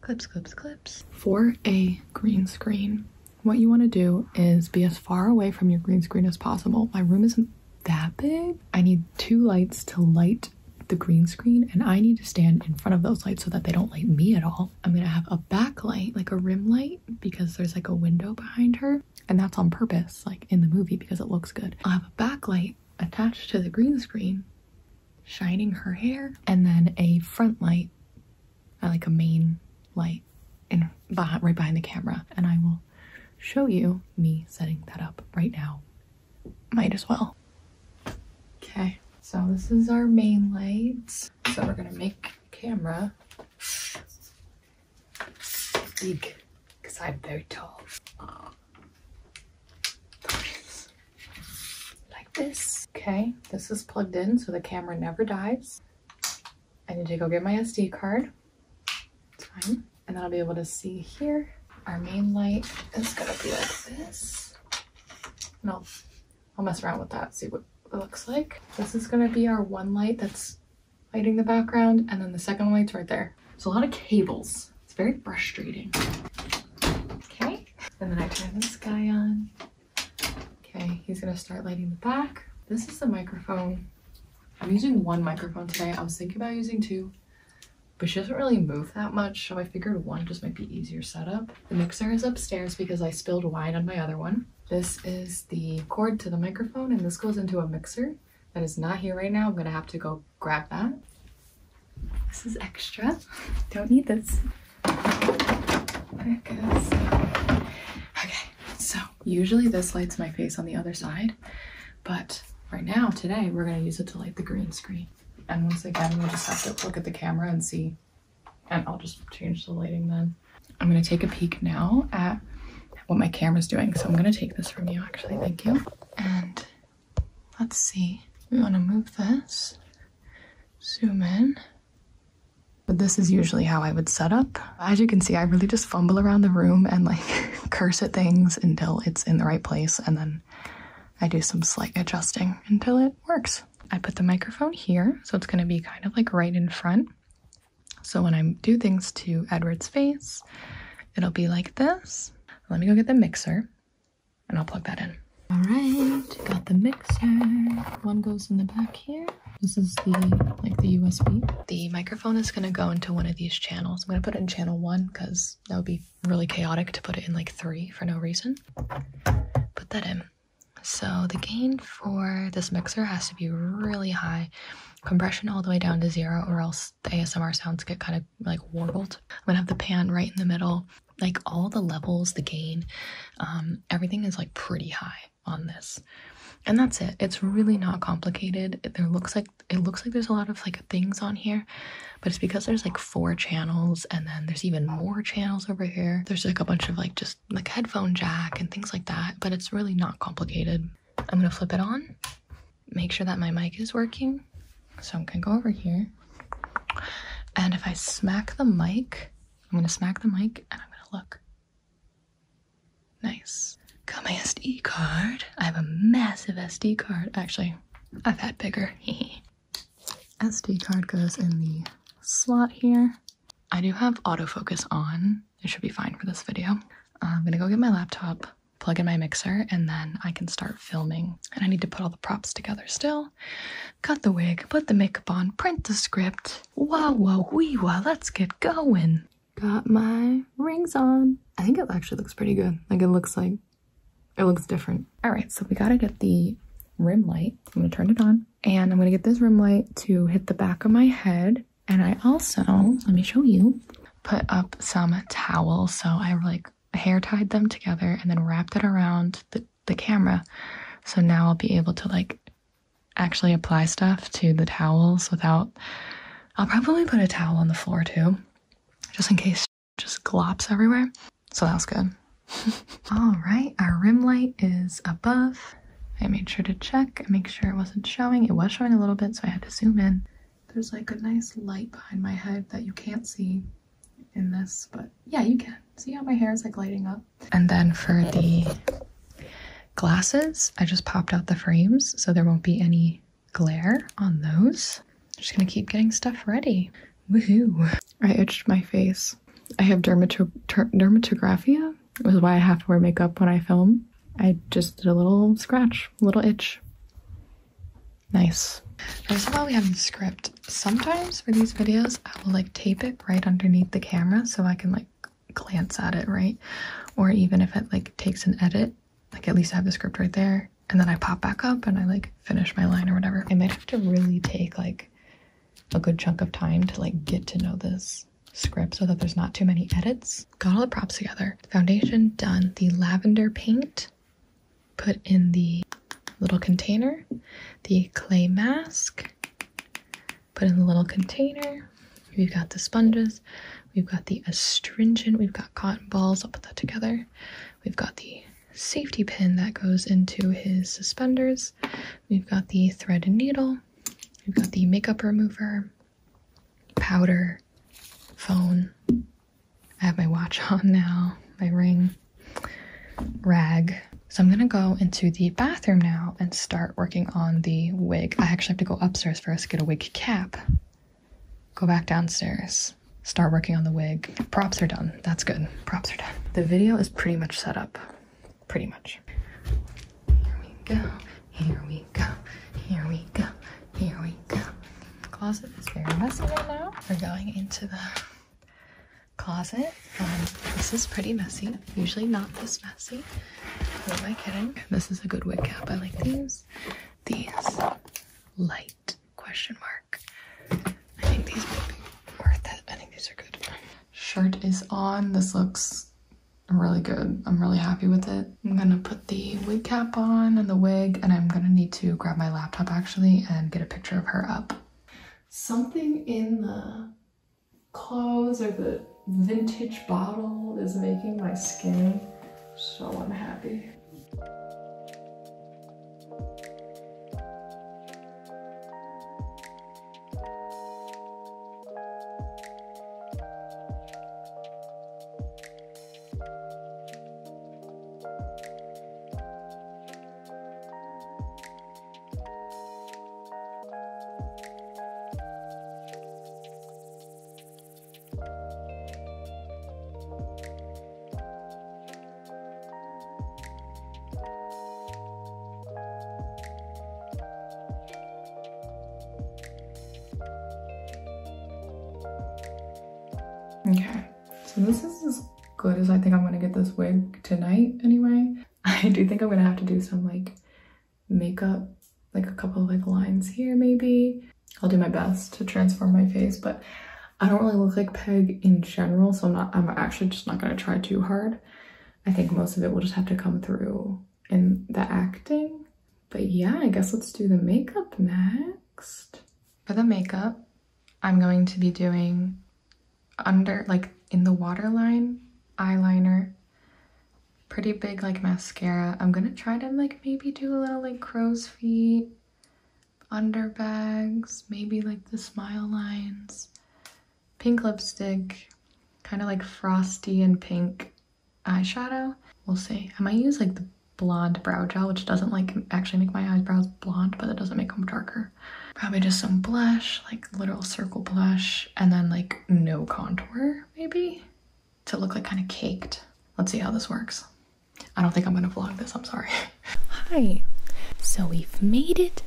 Clips, clips, clips. For a green screen, what you want to do is be as far away from your green screen as possible. My room isn't that big. I need two lights to light the green screen and I need to stand in front of those lights so that they don't light me at all. I'm gonna have a backlight, like a rim light, because there's like a window behind her. And that's on purpose, like in the movie, because it looks good. I'll have a backlight attached to the green screen, shining her hair, and then a front light, like a main light right behind, right behind the camera and I will show you me setting that up right now. Might as well. Okay, so this is our main light. So we're gonna make camera big because I'm very tall. Like this. Okay, this is plugged in so the camera never dies. I need to go get my SD card. And then I'll be able to see here. Our main light is gonna be like this. No, I'll, I'll mess around with that, see what it looks like. This is gonna be our one light that's lighting the background, and then the second light's right there. So a lot of cables. It's very frustrating. Okay, and then I turn this guy on. Okay, he's gonna start lighting the back. This is the microphone I'm using one microphone today. I was thinking about using two, but she doesn't really move that much, so I figured one just might be easier setup. The mixer is upstairs because I spilled wine on my other one. This is the cord to the microphone, and this goes into a mixer that is not here right now. I'm gonna have to go grab that. This is extra. Don't need this. There it goes. Okay, so usually this lights my face on the other side, but right now, today, we're gonna use it to light the green screen. And once again, we'll just have to look at the camera and see, and I'll just change the lighting then. I'm gonna take a peek now at what my camera is doing. So I'm gonna take this from you actually, thank you. And let's see, we wanna move this, zoom in, but this is usually how I would set up. As you can see, I really just fumble around the room and like curse at things until it's in the right place. And then I do some slight adjusting until it works. I put the microphone here, so it's gonna be kind of like right in front. So when I do things to Edward's face, it'll be like this. Let me go get the mixer and I'll plug that in. All right, got the mixer. One goes in the back here. This is the like the USB. The microphone is gonna go into one of these channels. I'm gonna put it in channel one because that would be really chaotic to put it in like three for no reason. Put that in. So the gain for this mixer has to be really high. Compression all the way down to zero or else the ASMR sounds get kind of like warbled. I'm gonna have the pan right in the middle. Like all the levels, the gain, um, everything is like pretty high on this and that's it it's really not complicated there looks like it looks like there's a lot of like things on here but it's because there's like four channels and then there's even more channels over here there's like a bunch of like just like headphone jack and things like that but it's really not complicated i'm gonna flip it on make sure that my mic is working so i'm gonna go over here and if i smack the mic i'm gonna smack the mic and i'm gonna look Nice. Got my SD card. I have a massive SD card. Actually, I've had bigger. SD card goes in the slot here. I do have autofocus on. It should be fine for this video. I'm gonna go get my laptop, plug in my mixer, and then I can start filming. And I need to put all the props together still. Cut the wig, put the makeup on, print the script. Wow, wow, wee, wow, let's get going got my rings on. I think it actually looks pretty good. Like it looks like, it looks different. All right, so we gotta get the rim light. I'm gonna turn it on and I'm gonna get this rim light to hit the back of my head. And I also, let me show you, put up some towels. So I like hair tied them together and then wrapped it around the, the camera. So now I'll be able to like actually apply stuff to the towels without. I'll probably put a towel on the floor too, just in case just glops everywhere. So that was good. All right, our rim light is above. I made sure to check and make sure it wasn't showing. It was showing a little bit, so I had to zoom in. There's like a nice light behind my head that you can't see in this, but yeah, you can. See how my hair is like lighting up? And then for the Glasses, I just popped out the frames so there won't be any glare on those. I'm just gonna keep getting stuff ready. Woohoo! I itched my face. I have dermatographia, which is why I have to wear makeup when I film. I just did a little scratch, a little itch. Nice. First of all, we have the script. Sometimes for these videos, I will like tape it right underneath the camera so I can like glance at it, right? Or even if it like takes an edit, like at least I have the script right there and then I pop back up and I like finish my line or whatever. I might have to really take like a good chunk of time to like get to know this script so that there's not too many edits. Got all the props together. Foundation done. The lavender paint put in the little container. The clay mask put in the little container. We've got the sponges, we've got the astringent, we've got cotton balls. I'll put that together. We've got the safety pin that goes into his suspenders. We've got the thread and needle. We've got the makeup remover, powder, phone. I have my watch on now, my ring, rag. So I'm gonna go into the bathroom now and start working on the wig. I actually have to go upstairs. For us to get a wig cap, go back downstairs, start working on the wig. Props are done. That's good. Props are done. The video is pretty much set up. Pretty much. Here we go. Here we go. Here we go. Here we go. closet is very messy right now. We're going into the closet. Um, this is pretty messy. Usually not this messy. Who am I kidding? And this is a good wig cap. I like these. These light question mark. I think these might worth it. I think these are good. Shirt is on. This looks really good. I'm really happy with it. I'm gonna put the wig cap on and the wig, and I'm gonna need to grab my laptop actually and get a picture of her up. Something in the clothes or the vintage bottle is making my skin so unhappy. Okay, so this is as good as I think I'm gonna get this wig tonight anyway. I do think I'm gonna have to do some like makeup, like a couple of like lines here maybe. I'll do my best to transform my face, but I don't really look like Peg in general, so I'm not, I'm actually just not gonna try too hard. I think most of it will just have to come through in the acting. But yeah, I guess let's do the makeup next. For the makeup, I'm going to be doing under, like in the waterline eyeliner pretty big like mascara. I'm gonna try to like maybe do a little like crow's feet, under bags, maybe like the smile lines, pink lipstick, kind of like frosty and pink eyeshadow. We'll see. I might use like the blonde brow gel, which doesn't like actually make my eyebrows blonde, but it doesn't make them darker. Probably just some blush, like little circle blush, and then like no contour, maybe? to look like kind of caked. Let's see how this works. I don't think I'm gonna vlog this, I'm sorry. Hi, so we've made it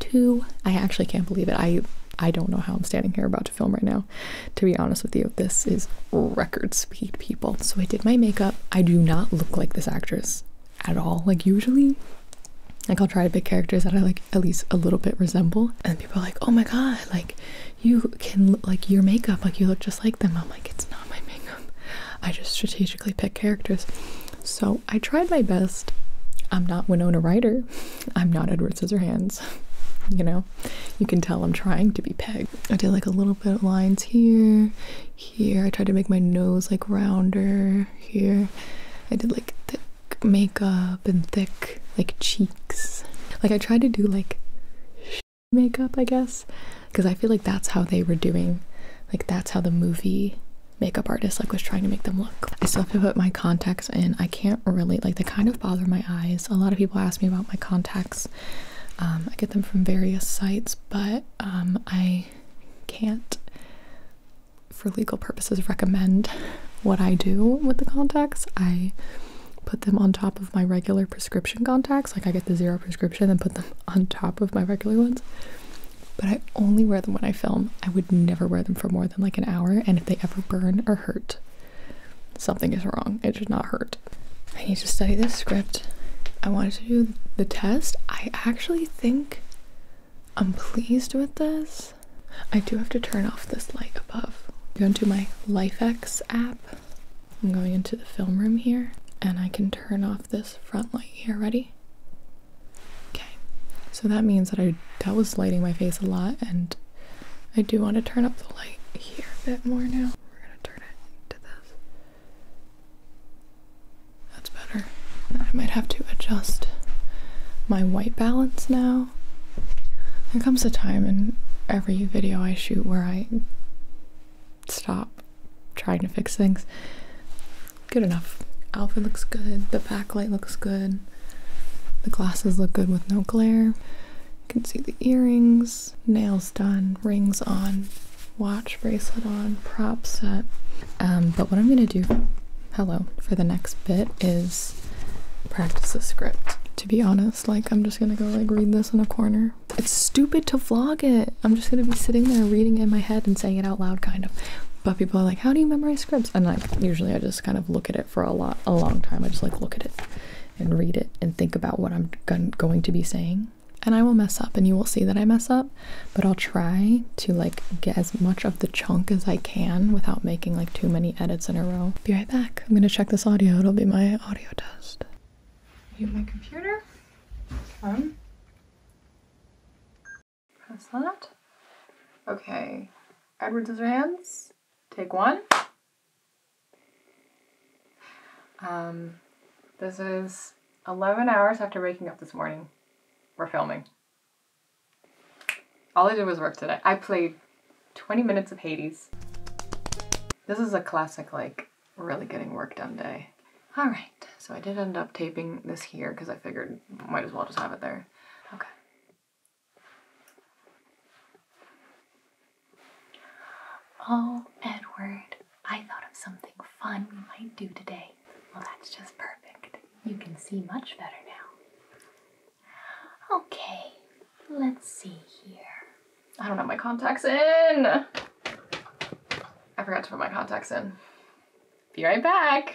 to, I actually can't believe it. I, I don't know how I'm standing here about to film right now. To be honest with you, this is record speed, people. So I did my makeup. I do not look like this actress at all. Like usually, like I'll try to pick characters that I like at least a little bit resemble. And people are like, oh my God, like you can look like your makeup, like you look just like them. I'm like, it's not my makeup. I just strategically pick characters. So I tried my best. I'm not Winona Ryder. I'm not Edward Scissorhands. You know, you can tell I'm trying to be Peg. I did like a little bit of lines here, here. I tried to make my nose like rounder here. I did like thick makeup and thick, like cheeks. Like I tried to do like makeup, I guess, because I feel like that's how they were doing. Like that's how the movie makeup artist like was trying to make them look. I still have to put my contacts in. I can't really like they kind of bother my eyes. A lot of people ask me about my contacts. Um, I get them from various sites, but um, I can't, for legal purposes, recommend what I do with the contacts. I put them on top of my regular prescription contacts. Like I get the zero prescription and put them on top of my regular ones. But I only wear them when I film. I would never wear them for more than like an hour. And if they ever burn or hurt, something is wrong. It should not hurt. I need to study this script. I want to do the test. I actually think I'm pleased with this. I do have to turn off this light above. Go into my LifeX app. I'm going into the film room here and I can turn off this front light here. Ready? Okay. So that means that I that was lighting my face a lot and I do want to turn up the light here a bit more now. We're gonna turn it to this. That's better. I might have to adjust my white balance now there comes a time in every video I shoot where I stop trying to fix things. Good enough. Outfit looks good, the backlight looks good, the glasses look good with no glare. You can see the earrings, nails done, rings on, watch bracelet on, prop set. Um, but what I'm gonna do, hello, for the next bit is practice the script. To be honest, this. Like, I'm just gonna go, like, read this in a corner. It's stupid to vlog it. I'm just gonna be sitting there reading it in my head and saying it out loud, kind of. But people are like, how do you memorize scripts? And, like, usually I just kind of look at it for a lot, a long time. I just, like, look at it and read it and think about what I'm going to be saying. And I will mess up, and you will see that I mess up, but I'll try to like get as much of the chunk as I can without making like too many edits in a row back. I'm gonna check this audio. It'll be my audio test. Mute my computer. Um. Press that. Okay. Edward Scissorhands. Take one. Um, this is 11 hours after waking up this morning. We're filming. All I did was work today. I played 20 minutes of Hades. This is a classic, like, really getting work done day. All right, so I did end up taping this here because I figured might as well just have it there. Okay. Oh, Edward, I thought of something fun we might do today. Well, that's just perfect. You can see much better now. Okay, Let's see here. I don't have my contacts in. I forgot to put my contacts in. Be right back.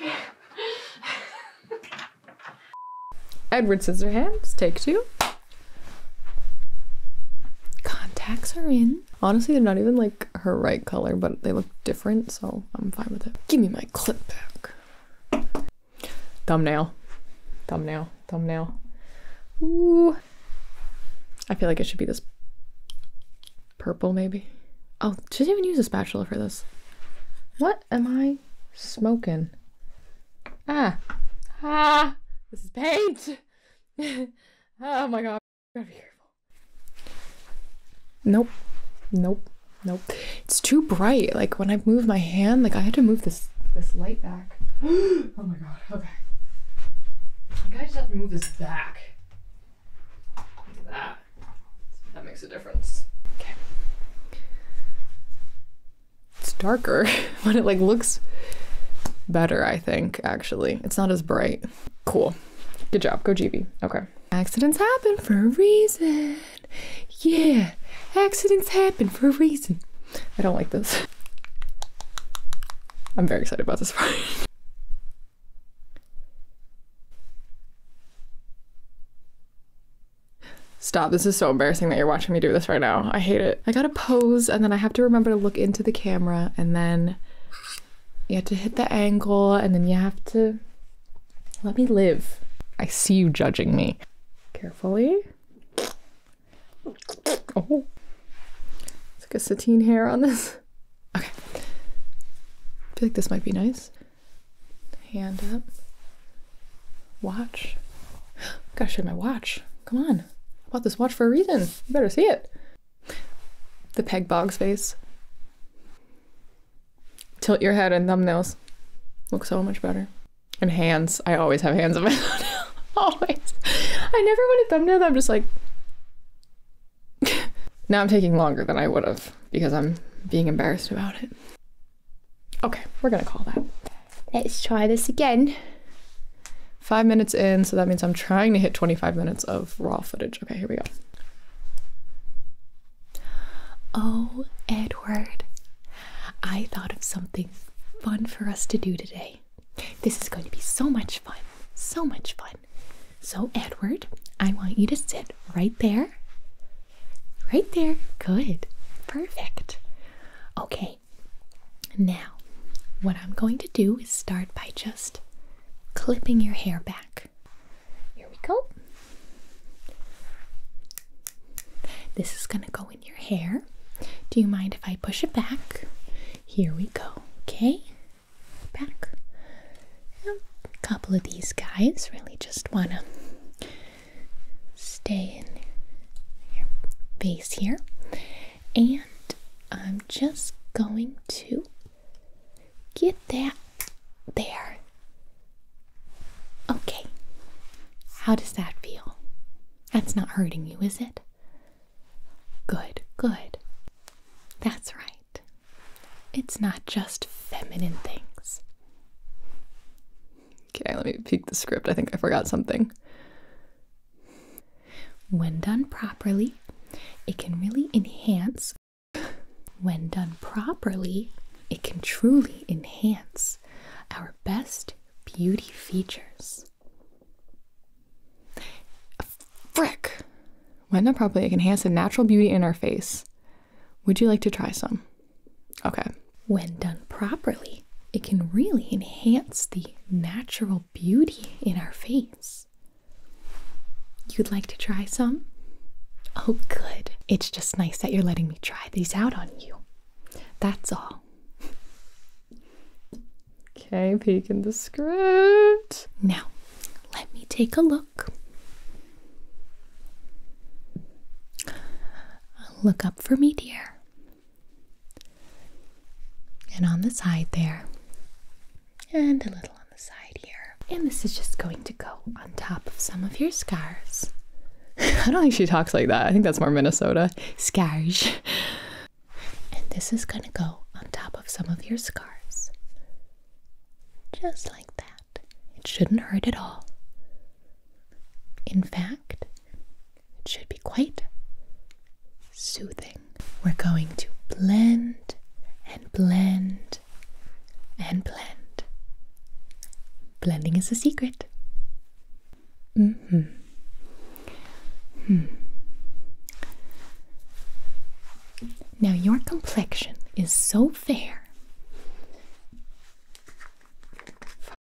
Edward hands, take two. Contacts are in. Honestly, they're not even like her right color, but they look different, so I'm fine with it. Give me my clip back. Thumbnail. Thumbnail. Thumbnail. Ooh. I feel like it should be this purple, maybe. Oh, she didn't even use a spatula for this. What am I smoking? Ah. Ah. This is paint. oh my god. Gotta be careful. Nope. Nope. Nope. It's too bright. Like when I move my hand, like I had to move this this light back. oh my god, okay. I think I just have to move this back. Look at that. That makes a difference. Okay. It's darker, but it like looks better, I think, actually. It's not as bright. Cool. Good job. Go GB. Okay. Accidents happen for a reason. Yeah, accidents happen for a reason. I don't like this. I'm very excited about this part. Stop, this is so embarrassing that you're watching me do this right now. I hate it. I gotta pose and then I have to remember to look into the camera and then you have to hit the angle and then you have to let me live. I see you judging me. Carefully. Oh, it's like a sateen hair on this. Okay, feel like this might be nice. Hand up. Watch. Gotta show my watch. Come on. I bought this watch for a reason. You better see it. The peg bog's face. Tilt your head and thumbnails. Look so much better and hands. I always have hands in my thumbnail. always. I never want a thumbnail I'm just like. now I'm taking longer than I would have because I'm being embarrassed about it. Okay, we're gonna call that. Let's try this again. Five minutes in, so that means I'm trying to hit 25 minutes of raw footage. Okay, here we go. Oh, Edward, I thought of something fun for us to do today. This is going to be so much fun. So much fun. So, Edward, I want you to sit right there. Right there. Good. Perfect. Okay. Now, what I'm going to do is start by just clipping your hair back. Here we go. This is going to go your hair. Do you mind if I push it back? Here we go. Okay, back. a couple of these guys really just want to stay in your face here. And I'm just going to get that there. Okay, how does that feel? That's not hurting you, is it? Good, good. That's right. It's not just feminine things. Okay, let me peek the script. I think I forgot something. When done properly, it can really enhance. When done properly, it can truly enhance our best beauty features. Frick! When done properly, it can the natural beauty in our face. Would you like to try some? Okay. When done properly, it can really enhance the natural beauty in our face. You'd like to try some? Oh, good. It's just nice that you're letting me try these out on you. That's all. Okay, peek in the script. Now, let me take a look. Look up for me, dear. And on the side there. And a little on the side here. And this is just going to go on top of some of your scars. I don't think she talks like that. I think that's more Minnesota. Scarge. And this is going to go on top of some of your scars, Just like that. It shouldn't hurt at all. In fact, it should be quite soothing. We're going to blend and blend and blend. Blending is a secret. Mm-hmm. -hmm. hmm. Now your complexion is so fair.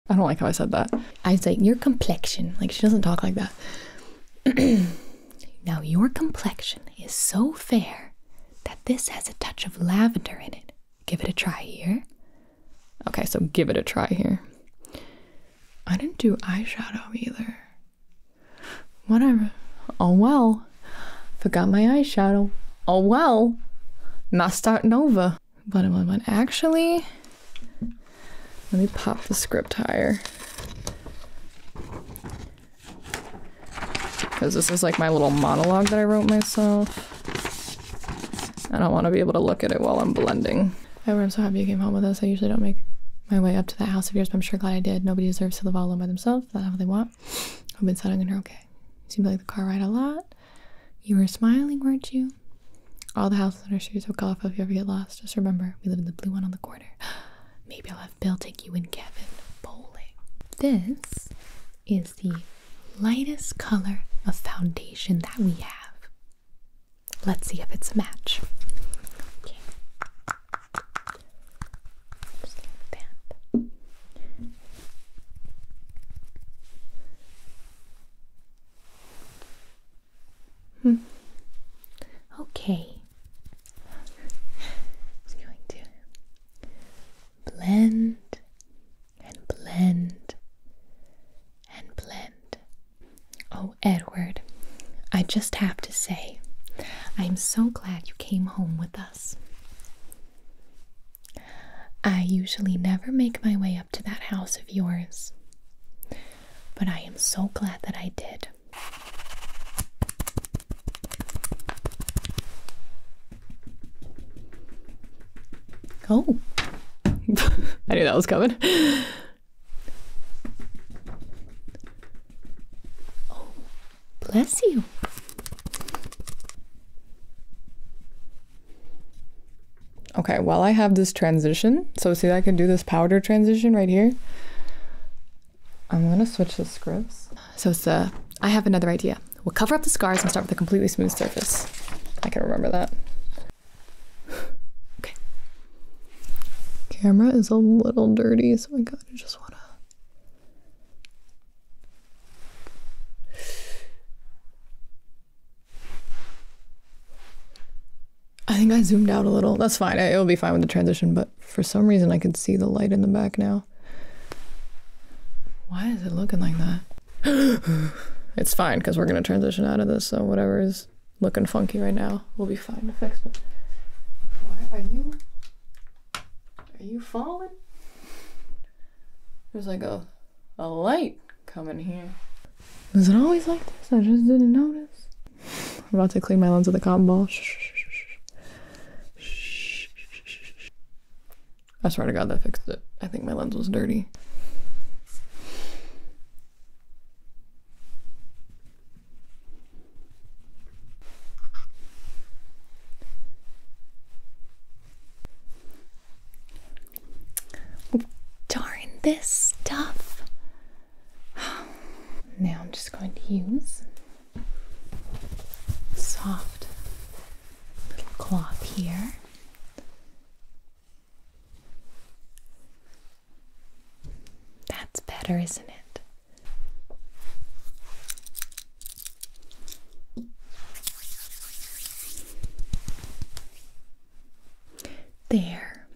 I don't like how I said that. I was like, your complexion. Like she doesn't talk like that. now your complexion is so fair that this has a touch of lavender in it. Give it a try here. Okay, so give it a try here. I didn't do eyeshadow either. Whatever. Oh well. Forgot my eyeshadow. Oh well. Not starting over. But actually. Let me pop the script higher. Because this is like my little monologue that I wrote myself. I don't want to be able to look at it while I'm blending. However, I'm so happy you came home with us. I usually don't make my way up to that house of yours, but I'm sure glad I did. Nobody deserves to live all alone by themselves. That's all they want. I've been settling in her okay. You seemed like the car ride a lot. You were smiling, weren't you? All the house on our street are so colorful if you ever get lost. Just remember, we live in the blue one on the corner. Maybe I'll have Bill take you and Kevin bowling. This is the lightest color of foundation that we have. Let's see if it's a match. Okay. Just like that. Hmm. Okay. i going to blend and blend and blend. Oh, Edward, I just have to say, I'm so glad you came home with us. I usually never make my way up to that house of yours, but I am so glad that I did. Oh. I knew that was coming. Oh, bless you. Okay, while I have this transition. So, see, I can do this powder transition right here. I'm gonna switch the scripts. So, it's, uh, I have another idea. We'll cover up the scars and start with a completely smooth surface. I can remember that okay. Camera is a little dirty, so I gotta just wanna. I think I zoomed out a little. That's fine. It'll be fine with the transition, but for some reason I can see the light in the back now. Why is it looking like that? it's fine because we're going to transition out of this, so whatever is looking funky right now will be fine to fix. But why are you? Are you falling? There's like a a light coming here. Is it always like this? I just didn't notice. I'm about to clean my lens with a cotton ball. I swear to God, that fixed it. I think my lens was dirty. Darn this stuff. Now I'm just going to use soft little cloth here that's better, isn't it? There.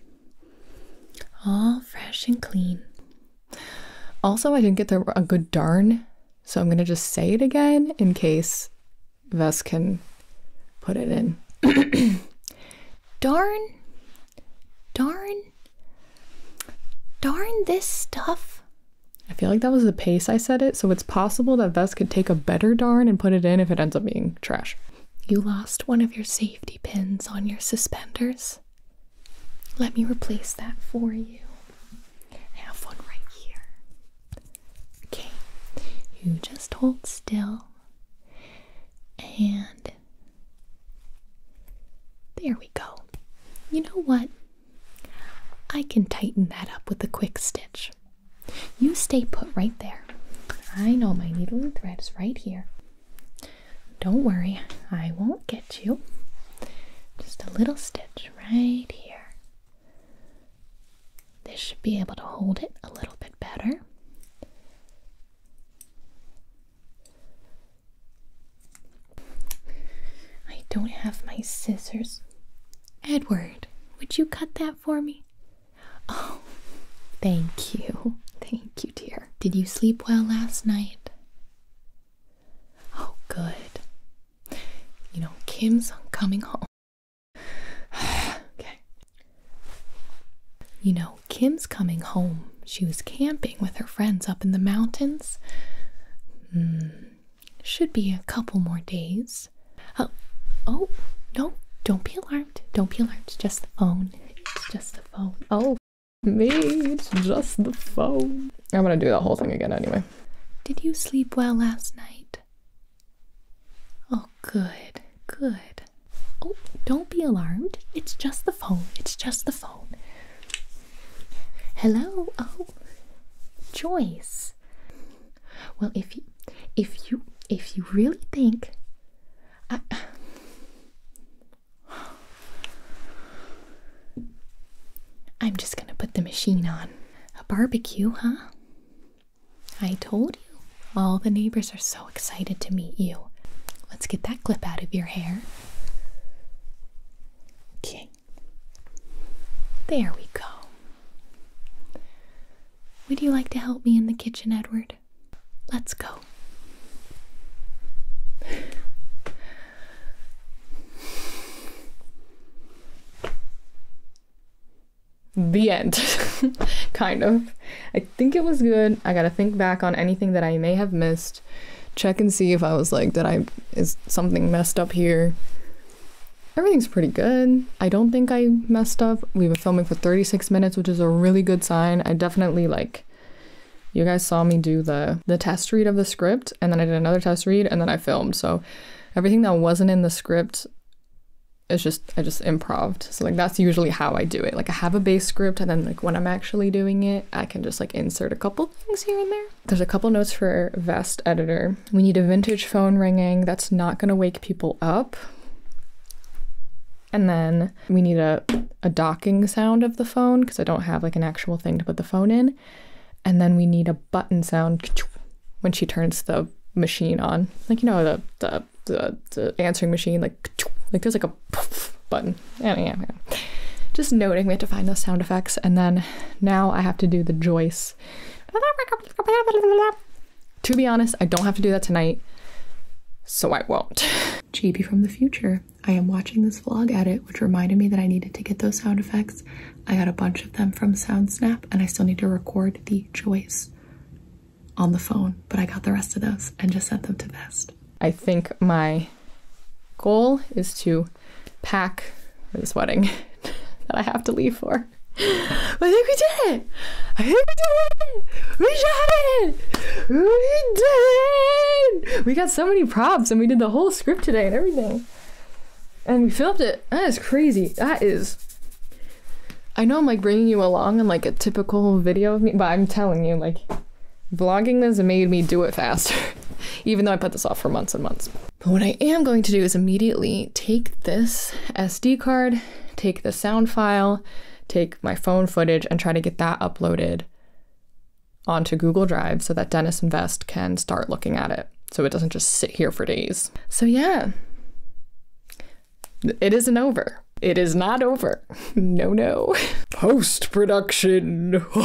All fresh and clean. Also, I didn't get the, a good darn, so I'm going to just say it again in case Vess can put it in. darn, darn, darn this stuff. I feel like that was the pace I said it, so it's possible that Vess could take a better darn and put it in if it ends up being trash. You lost one of your safety pins on your suspenders. Let me replace that for you. have one right here. Okay, you just hold still. And there we go. You know what? I can tighten that up with a quick stitch. You stay put right there. I know my needle and thread is right here. Don't worry, I won't get you. Just a little stitch right here. This should be able to hold it a little bit better. I don't have my scissors. Edward, would you cut that for me? Oh, thank you. Thank you, dear. Did you sleep well last night? Oh, good. You know, Kim's coming home. okay. You know, Kim's coming home. She was camping with her friends up in the mountains. Hmm, should be a couple more days. Oh, oh, no, don't be alarmed. Don't be alarmed. It's just the phone. It's just the phone. Oh, me, it's just the phone. I'm gonna do that whole thing again anyway. Did you sleep well last night? Oh, good, good. Oh, don't be alarmed. It's just the phone. It's just the phone. Hello. Oh, Joyce. Well, if you, if you, if you really think, I. I'm just gonna put the machine on. A barbecue, huh? I told you. All the neighbors are so excited to meet you. Let's get that clip out of your hair. Okay. There we go. Would you like to help me in the kitchen, Edward? Let's go the end, kind of. I think it was good. I gotta think back on anything that I may have missed. Check and see if I was like, that. I, is something messed up here? Everything's pretty good. I don't think I messed up. We were filming for 36 minutes, which is a really good sign. I definitely like, you guys saw me do the, the test read of the script, and then I did another test read, and then I filmed. So everything that wasn't in the script it's just I just improv. So like that's usually how I do it. Like I have a base script and then like when I'm actually doing it, I can just like insert a couple things here and there. There's a couple notes for vest editor. We need a vintage phone ringing that's not going to wake people up. And then we need a a docking sound of the phone because I don't have like an actual thing to put the phone in. And then we need a button sound when she turns the machine on. Like you know the the the, answering machine, like like there's like a button. Just noting we have to find those sound effects, and then now I have to do the Joyce. To be honest, I don't have to do that tonight, so I won't. JB from the future. I am watching this vlog edit, which reminded me that I needed to get those sound effects. I got a bunch of them from SoundSnap, and I still need to record the Joyce on the phone, but I got the rest of those and just sent them to Best. I think my goal is to pack for this wedding that I have to leave for. I think we did it! I think we did it! We did it! We did it! We got so many props and we did the whole script today and everything. And we filmed it. That is crazy. That is I know I'm like bringing you along in like a typical video of me, but I'm telling you, like, vlogging this made me do it faster, even though I put this off for months and months. But what I am going to do is immediately take this SD card, take the sound file, take my phone footage, and try to get that uploaded onto Google Drive so that Dennis and Vest can start looking at it so it doesn't just sit here for days. So, yeah, it isn't over. It is not over. No, no. Post production.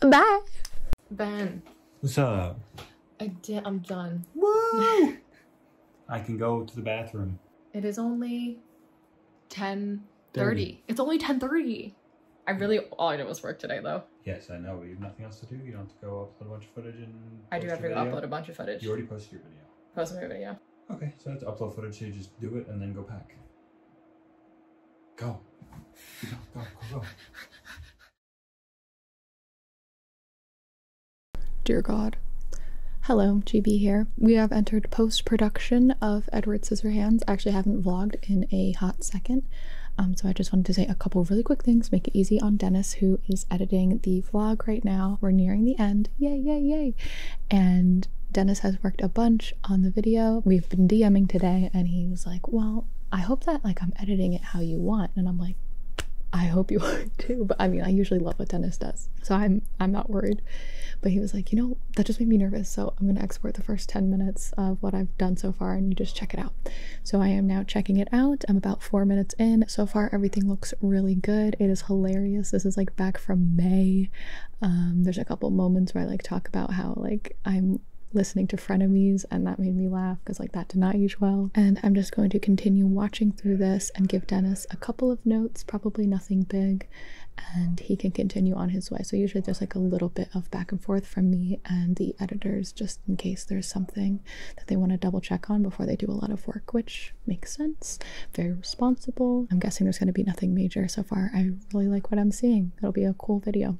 Bye. Ben. What's up? I did. I'm done. Woo! I can go to the bathroom. It is only 1030 It's only 1030 I really, all I did was work today though. Yes, I know, but you have nothing else to do. You don't have to go up to the bunch of footage and. I do have to upload a bunch of footage. You already posted your video. Posted my video. Okay, so that's upload footage. So you just do it and then go pack. Go. Go, go, go, go. Dear God. Hello, GB here. We have entered post production of Edward Scissorhands. I actually haven't vlogged in a hot second, um, so I just wanted to say a couple really quick things, make it easy on Dennis who is editing the vlog right now. We're nearing the end. Yay, yay, yay. And Dennis has worked a bunch on the video. We've been DMing today, and he was like, Well, I hope that like I'm editing it how you want. And I'm like, I hope you are too. But I mean, I usually love what Dennis does. So I'm I'm not worried. But he was like, you know, that just made me nervous. So I'm gonna export the first 10 minutes of what I've done so far and you just check it out. So I am now checking it out. I'm about four minutes in. So far, everything looks really good. It is hilarious. This is like back from May. Um, there's a couple moments where I like talk about how like I'm listening to frenemies and that made me laugh because like that did not age well and i'm just going to continue watching through this and give dennis a couple of notes probably nothing big and he can continue on his way so usually there's like a little bit of back and forth from me and the editors just in case there's something that they want to double check on before they do a lot of work, which makes sense. Very responsible. I'm guessing there's going to be nothing major so far. I really like what I'm seeing. It'll be a cool video.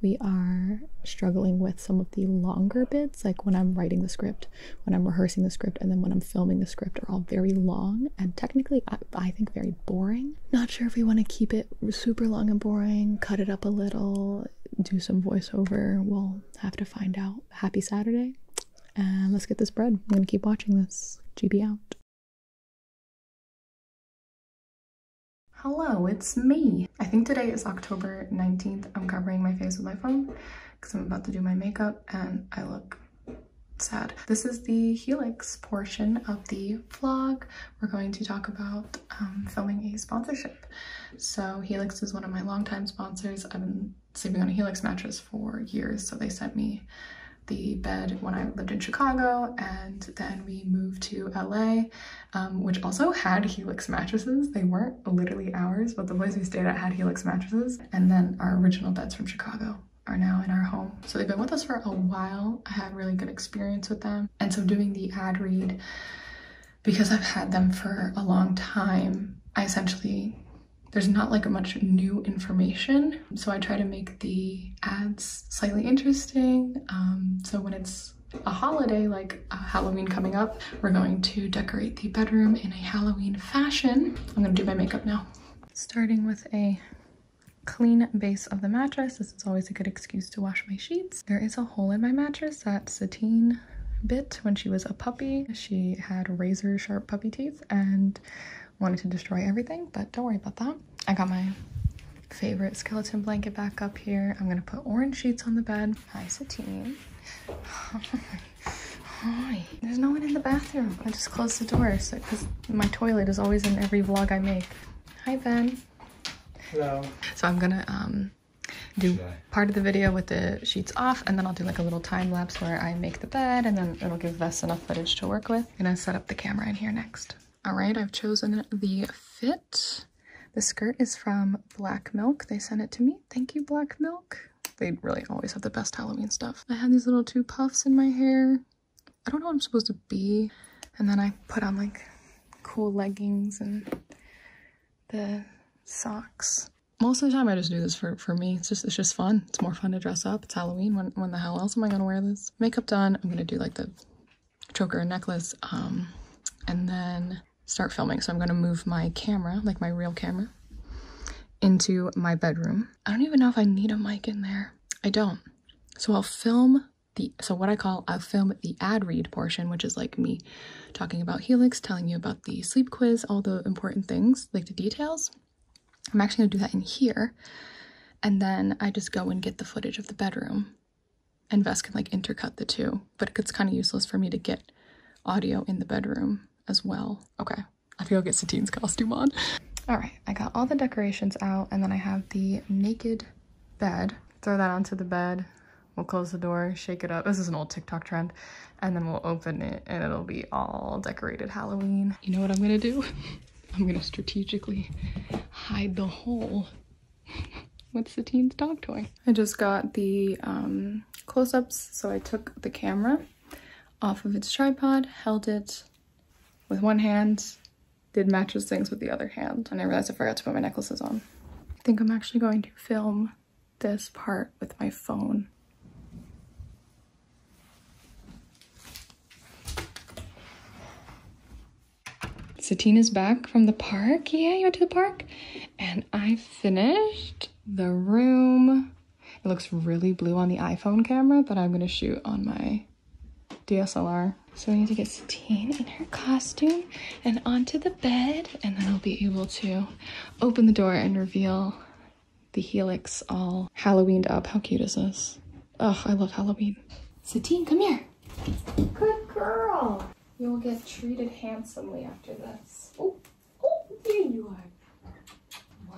We are struggling with some of the longer bits, like when I'm writing the script, when I'm rehearsing the script, and then when I'm filming the script, are all very long and technically, I think, very boring. Not sure if we want to keep it super long and boring, cut it up a little, do some voiceover. We'll have to find out. Happy Saturday. And let's get this bread. I'm going to keep watching this. GB out. Hello, it's me. I think today is October 19th. I'm covering my face with my phone because I'm about to do my makeup and I look sad. This is the Helix portion of the vlog. We're going to talk about um, filming a sponsorship. So Helix is one of my longtime sponsors. I've been sleeping on a Helix mattress for years. So they sent me the bed when I lived in Chicago and then we moved to LA, um, which also had Helix mattresses. They weren't literally ours, but the place we stayed at had Helix mattresses. And then our original beds from Chicago are now in our home. So they've been with us for a while. I had really good experience with them. And so doing the ad read because I've had them for a long time, I essentially there's not like a much new information. So I try to make the ads slightly interesting. Um, so when it's a holiday like Halloween coming up, we're going to decorate the bedroom in a Halloween fashion. I'm gonna do my makeup now. Starting with a clean base of the mattress. This is always a good excuse to wash my sheets. There is a hole in my mattress that Satine bit when she was a puppy. She had razor sharp puppy teeth and wanted to destroy everything, but don't worry about that. I got my favorite skeleton blanket back up here. I'm gonna put orange sheets on the bed. Hi, Satine. Hi. There's no one in the bathroom. I just closed the door because my toilet is always in every vlog I make. Hi, Ben. Hello. So I'm gonna um, do part of the video with the sheets off and then I'll do like a little time lapse where I make the bed and then it'll give us enough footage to work with. i gonna set up the camera in here next. All right, I've chosen the fit. The skirt is from Black Milk. They sent it to me. Thank you, Black Milk. They really always have the best Halloween stuff. I have these little two puffs in my hair. I don't know what I'm supposed to be. And then I put on like cool leggings and the socks most of the time I just do this for, for me. It's just it's just fun. It's more fun to dress up. It's Halloween. When when the hell else am I gonna wear this? Makeup done. I'm gonna do like the choker necklace. Um and then start filming. So I'm gonna move my camera, like my real camera, into my bedroom. I don't even know if I need a mic in there. I don't. So I'll film the so what I call I'll film the ad read portion, which is like me talking about Helix, telling you about the sleep quiz, all the important things, like the details. I'm actually going to do that in here. And then I just go and get the footage of the bedroom. And Vess can like intercut the two, but it's kind of useless for me to get audio in the bedroom as well. Okay, I have I'll get Satine's costume on. All right, I got all the decorations out and then I have the naked bed. Throw that onto the bed. We'll close the door, shake it up. This is an old TikTok trend. And then we'll open it and it'll be all decorated Halloween. You know what I'm gonna do? I'm gonna strategically hide the hole with Satine's dog toy. I just got the um, close-ups, so I took the camera off of its tripod, held it with one hand, did matches things with the other hand, and I realized I forgot to put my necklaces on. I think I'm actually going to film this part with my phone. Satina's back from the park. Yeah, you went to the park. And I finished the room. It looks really blue on the iPhone camera, but I'm gonna shoot on my DSLR. So we need to get Satine in her costume and onto the bed, and then I'll be able to open the door and reveal the helix all Halloweened up. How cute is this? Oh, I love Halloween. Satine, come here. Good girl. You'll get treated handsomely after this. Oh, oh, there you are.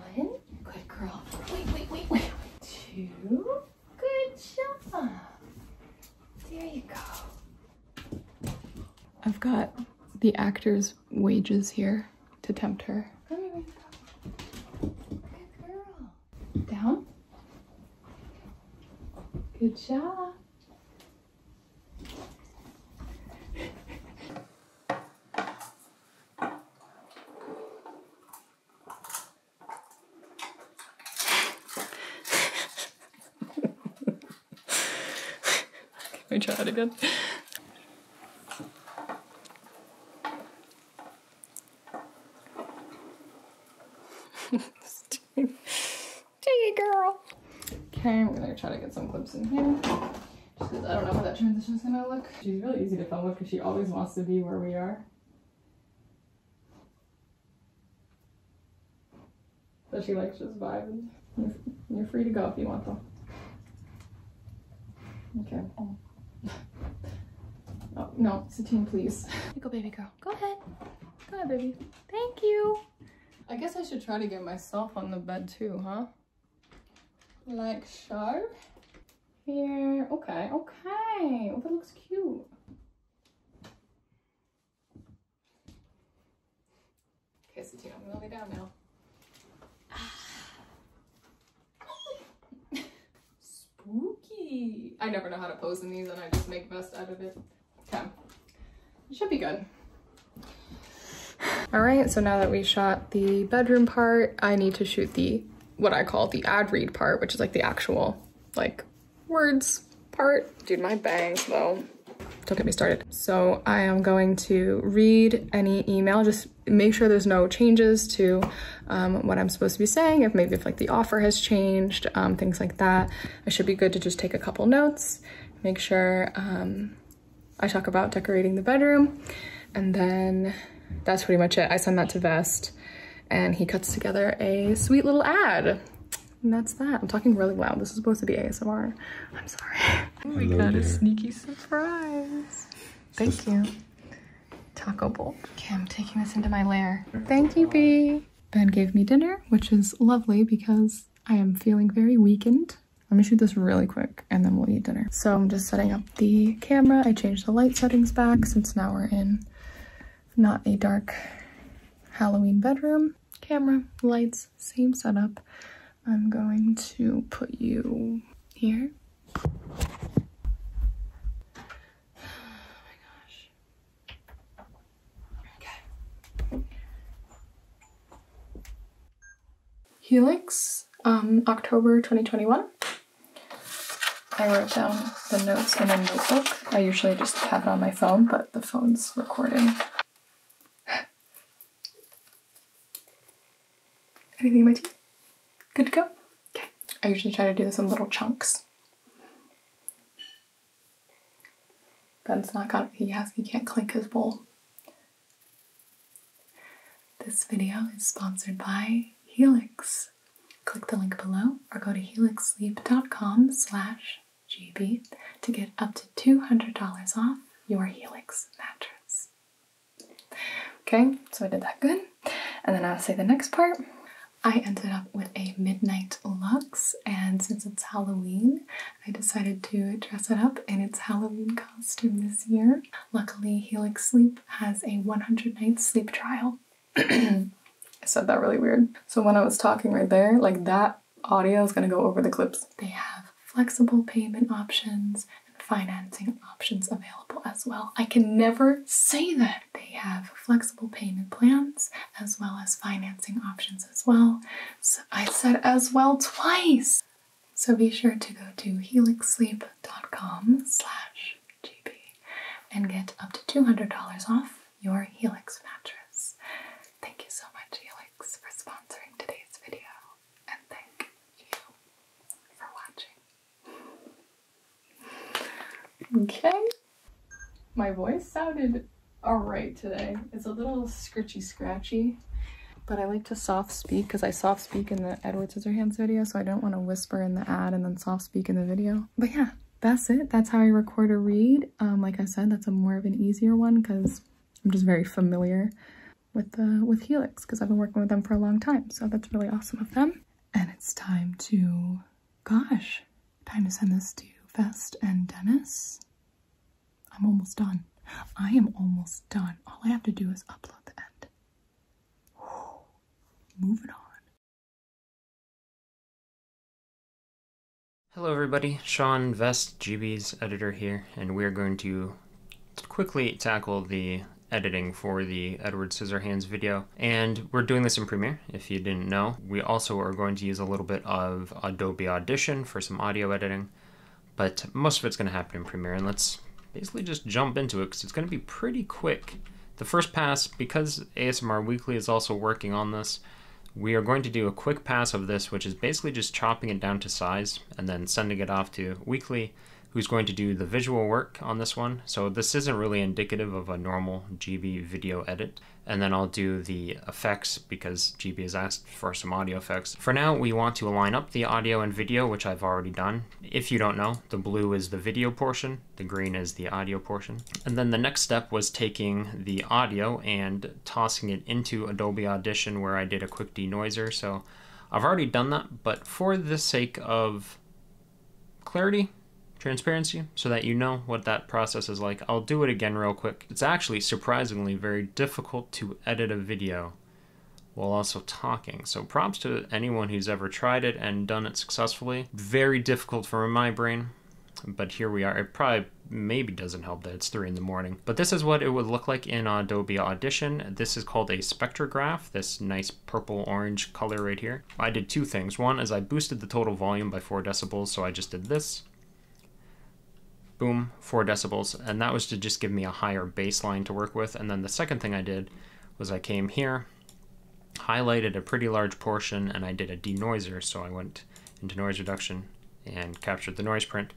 One, good girl. Wait, wait, wait, wait. Two, good job. There you go. I've got the actor's wages here to tempt her. Down. Good job. Can we try that again? Gee, girl. Okay, I'm gonna try to get some clips in here. Just because I don't know how that transition is gonna look. She's really easy to film with because she always wants to be where we are. But she likes just vibing. You're, free to go if you want though. Okay. Oh, no, Satine, please. Go, baby girl. Go ahead. Go ahead, baby. Thank you. I guess I should try to get myself on the bed too, huh? Like so? Here. Okay, okay. Oh, that looks cute. Okay, so Tina, I'm gonna lay down now. Spooky. I never know how to pose in these and I just make best out of it. Okay, it should be good. All right, so now that we shot the bedroom part, I need to shoot the, what I call the ad read part, which is like the actual like words part. Dude, my bangs though don't get me started. So I am going to read any email, just make sure there's no changes to um, what I'm supposed to be saying, if maybe if like the offer has changed, um, things like that. It should be good to just take a couple notes, make sure um, I talk about decorating the bedroom, and then that's pretty much it. I send that to Vest, and he cuts together a sweet little ad. And that's that. I'm talking really loud. This is supposed to be ASMR. I'm sorry. we oh got a sneaky surprise. Thank you. Taco bowl. Okay, I'm taking this into my lair. Thank you, Bee. Ben gave me dinner, which is lovely because I am feeling very weakened. Let me shoot this really quick and then we'll eat dinner. So I'm just setting up the camera. I changed the light settings back since now we're in not a dark Halloween bedroom camera, lights, same setup. I'm going to put you here. Helix, um, October 2021. I wrote down the notes in a notebook. I usually just have it on my phone, but the phone's recording. Anything in my teeth? Good to go? Okay. I usually try to do this in little chunks. Ben's not got he has he can't clink his bowl. This video is sponsored by Helix. Click the link below or go to helixsleep.com slash GB to get up to $200 off your Helix mattress. Okay, so I did that good. And then I'll say the next part. I ended up with a Midnight Lux, and since it's Halloween, I decided to dress it up in its Halloween costume this year. Luckily, Helix Sleep has a 100 night sleep trial. I said that really weird. So when I was talking right there, like that audio is going to go over the clips. They have flexible payment options and financing options available as well. I can never say that. They have flexible payment plans as well as financing options as well. So I said as well twice. So be sure to go to helixsleep.com slash gp and get up to $200 off your Helix mattress. Thank you so much Helix for sponsoring today's video and thank you for watching. Okay. My voice sounded alright today. It's a little scritchy scratchy, but I like to soft speak because I soft speak in the Edward Scissorhands video, so I don't want to whisper in the ad and then soft speak in the video. But yeah, that's it. That's how I record a read. Um, like I said, that's a more of an easier one because I'm just very familiar with the uh, with Helix because I've been working with them for a long time. So that's really awesome of them. And it's time to, gosh, time to send this to Vest and Dennis. I'm almost done. I am almost done. All I have to do is upload the end. Moving on. Hello everybody, Sean Vest, GB's editor here, and we're going to to quickly tackle the editing for the Edward Scissorhands video. And we're doing this in Premiere, if you didn't know. We also are going to use a little bit of Adobe Audition for some audio editing, but most of it's gonna happen in Premiere. And let's basically just jump into it because it's gonna be pretty quick. The first pass, because ASMR Weekly is also working on this, we are going to do a quick pass of this, which is basically just chopping it down to size and then sending it off to weekly, who's going to do the visual work on this one. So this isn't really indicative of a normal GB video edit. And then I'll do the effects because GB has asked for some audio effects. For now, we want to line up the audio and video, which I've already done. If you don't know, the blue is the video portion, the green is the audio portion. And then the next step was taking the audio and tossing it into Adobe Audition where I did a quick denoiser. So I've already done that, but for the sake of clarity, transparency, so that you know what that process is like, I'll do it again real quick. It's actually surprisingly very difficult to edit a video while also talking. So props to anyone who's ever tried it and done it successfully. Very difficult for my brain, but here we are. It probably maybe doesn't help that it's three in the morning. But this is what it would look like in Adobe Audition. This is called a spectrograph, this nice purple-orange color right here. I did two things. One is I boosted the total volume by 4 decibels, so I just did this. Boom, 4 decibels, and that was to just give me a higher baseline to work with. And then the second thing I did was I came here, highlighted a pretty large portion, and I did a denoiser, so I went into noise reduction and captured the noise print,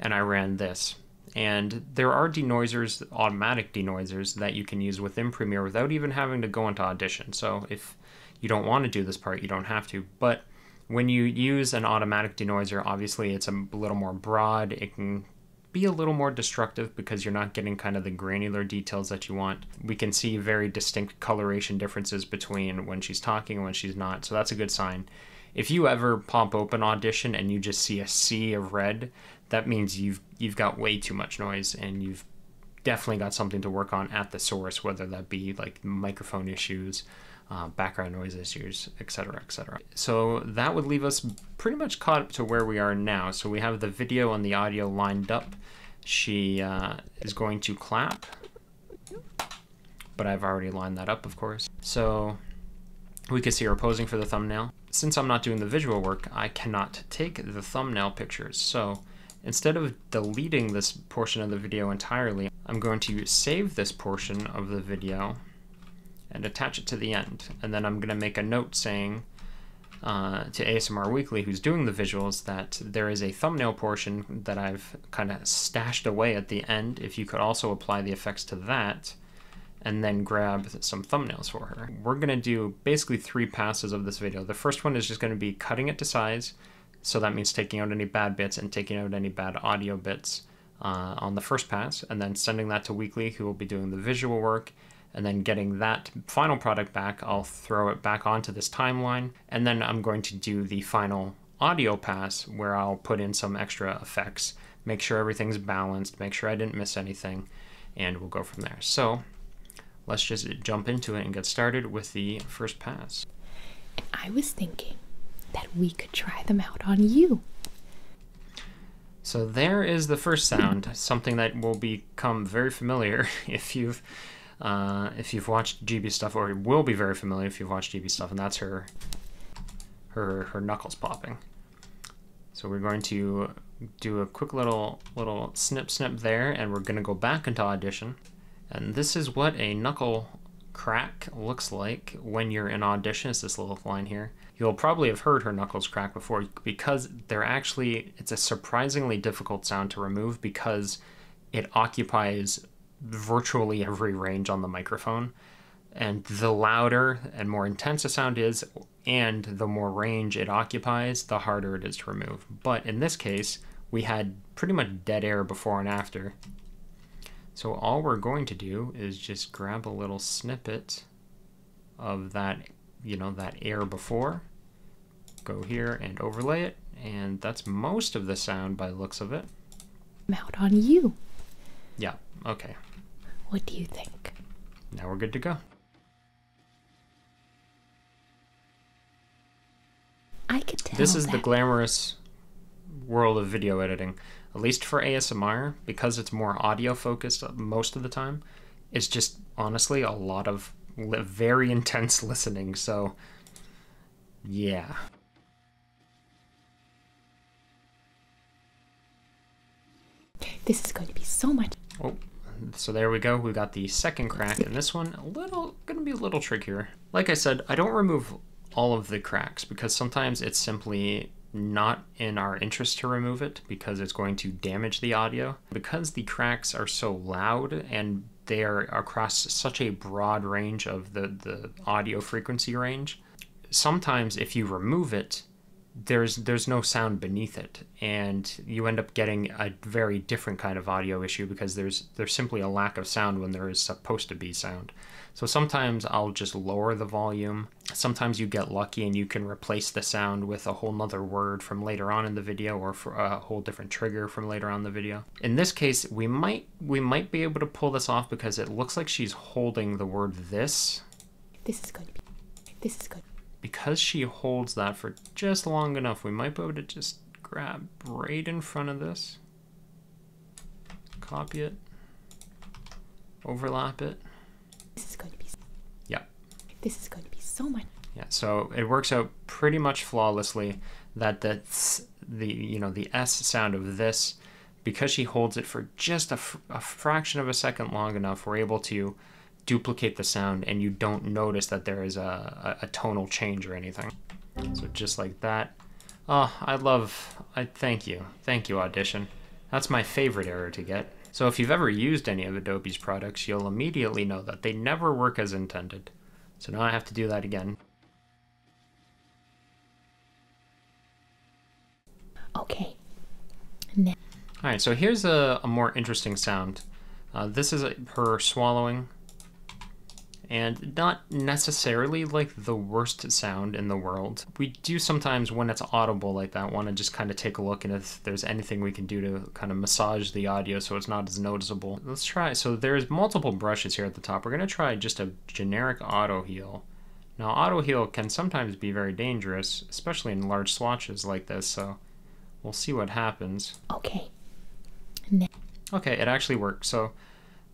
and I ran this. And there are denoisers, automatic denoisers, that you can use within Premiere without even having to go into Audition. So if you don't want to do this part, you don't have to. But when you use an automatic denoiser, obviously it's a little more broad. It can be a little more destructive because you're not getting kind of the granular details that you want. We can see very distinct coloration differences between when she's talking and when she's not, so that's a good sign if you ever pop open audition and you just see a sea of red, that means you've you've got way too much noise and you've definitely got something to work on at the source, whether that be like microphone issues, uh, background noise issues, etc., etc. So that would leave us pretty much caught up to where we are now. So we have the video and the audio lined up. She uh, is going to clap but I've already lined that up, of course. So we can see her posing for the thumbnail. Since I'm not doing the visual work, I cannot take the thumbnail pictures. So instead of deleting this portion of the video entirely, I'm going to save this portion of the video and attach it to the end. And then I'm going to make a note saying uh, to ASMR Weekly, who's doing the visuals, that there is a thumbnail portion that I've kind of stashed away at the end. If you could also apply the effects to that, and then grab some thumbnails for her. We're gonna do basically three passes of this video. The first one is just gonna be cutting it to size. So that means taking out any bad bits and taking out any bad audio bits uh, on the first pass and then sending that to Weekly who will be doing the visual work and then getting that final product back, I'll throw it back onto this timeline. And then I'm going to do the final audio pass where I'll put in some extra effects, make sure everything's balanced, make sure I didn't miss anything, and we'll go from there. So let's just jump into it and get started with the first pass. And I was thinking that we could try them out on you. So there is the first sound, something that will become very familiar if you've uh, if you've watched GB stuff, or it will be very familiar if you've watched GB stuff, and that's her her her knuckles popping. So we're going to do a quick little little snip snip there, and we're going to go back into Audition, and this is what a knuckle crack looks like when you're in audition is this little line here you'll probably have heard her knuckles crack before because they're actually it's a surprisingly difficult sound to remove because it occupies virtually every range on the microphone and the louder and more intense a sound is, and the more range it occupies, the harder it is to remove. But in this case, we had pretty much dead air before and after. So all we're going to do is just grab a little snippet of that, you know, that air before, go here and overlay it, and that's most of the sound by looks of it. I'm out on you. Yeah, okay. What do you think? Now we're good to go. I could tell. This is the glamorous world of video editing, at least for ASMR, because it's more audio focused most of the time. It's just honestly a lot of very intense listening, so yeah. This is going to be so much. Oh, so there we go. We got the second crack and this one. A little, gonna be a little trickier. Like I said, I don't remove all of the cracks because sometimes it's simply not in our interest to remove it because it's going to damage the audio. Because the cracks are so loud and they are across such a broad range of the, the audio frequency range, sometimes if you remove it, there's there's no sound beneath it and you end up getting a very different kind of audio issue because there's there's simply a lack of sound when there is supposed to be sound so sometimes i'll just lower the volume sometimes you get lucky and you can replace the sound with a whole nother word from later on in the video or a whole different trigger from later on the video in this case we might we might be able to pull this off because it looks like she's holding the word this. This is going to be. This is good. Because she holds that for just long enough, we might be able to just grab right in front of this, copy it, overlap it. This is going to be. Yep. This is going to be so much. Yeah, so it works out pretty much flawlessly that that's the you know the s sound of this because she holds it for just a, a fraction of a second long enough, we're able to duplicate the sound and you don't notice that there is a, a, tonal change or anything. So just like that. Oh, I love, I thank you. Thank you, Audition. That's my favorite error to get. So if you've ever used any of Adobe's products, you'll immediately know that they never work as intended. So now I have to do that again. Okay. All right, so here's a, more interesting sound. Uh, this is her swallowing, and not necessarily like the worst sound in the world. We do sometimes, when it's audible like that, want to just kind of take a look and if there's anything we can do to kind of massage the audio so it's not as noticeable. Let's try. So there's multiple brushes here at the top. We're going to try just a generic auto heal now auto heal can sometimes be very dangerous, especially in large swatches like this, so we'll see what happens. Okay. Ne okay, it actually worked. So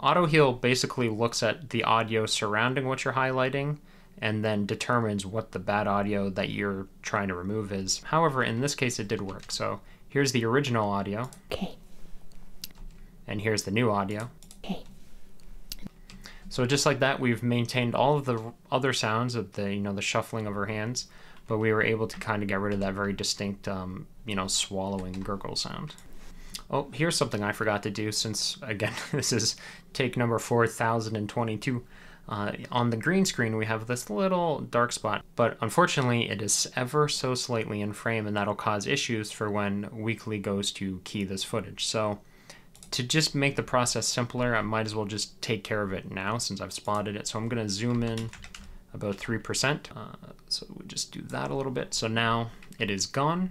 auto heal basically looks at the audio surrounding what you're highlighting and then determines what the bad audio that you're trying to remove is. However, in this case it did work. So here's the original audio. Okay. And here's the new audio. Okay. So just like that, we've maintained all of the other sounds of the, you know, the shuffling of her hands, but we were able to kind of get rid of that very distinct, um, you know, swallowing gurgle sound. Oh, here's something I forgot to do since, again, this is take number 4022. Uh, on the green screen, we have this little dark spot, but unfortunately, it is ever so slightly in frame, and that'll cause issues for when Weekly goes to key this footage. So to just make the process simpler, I might as well just take care of it now since I've spotted it. So I'm gonna zoom in about 3%. Uh, so we just do that a little bit. So now it is gone.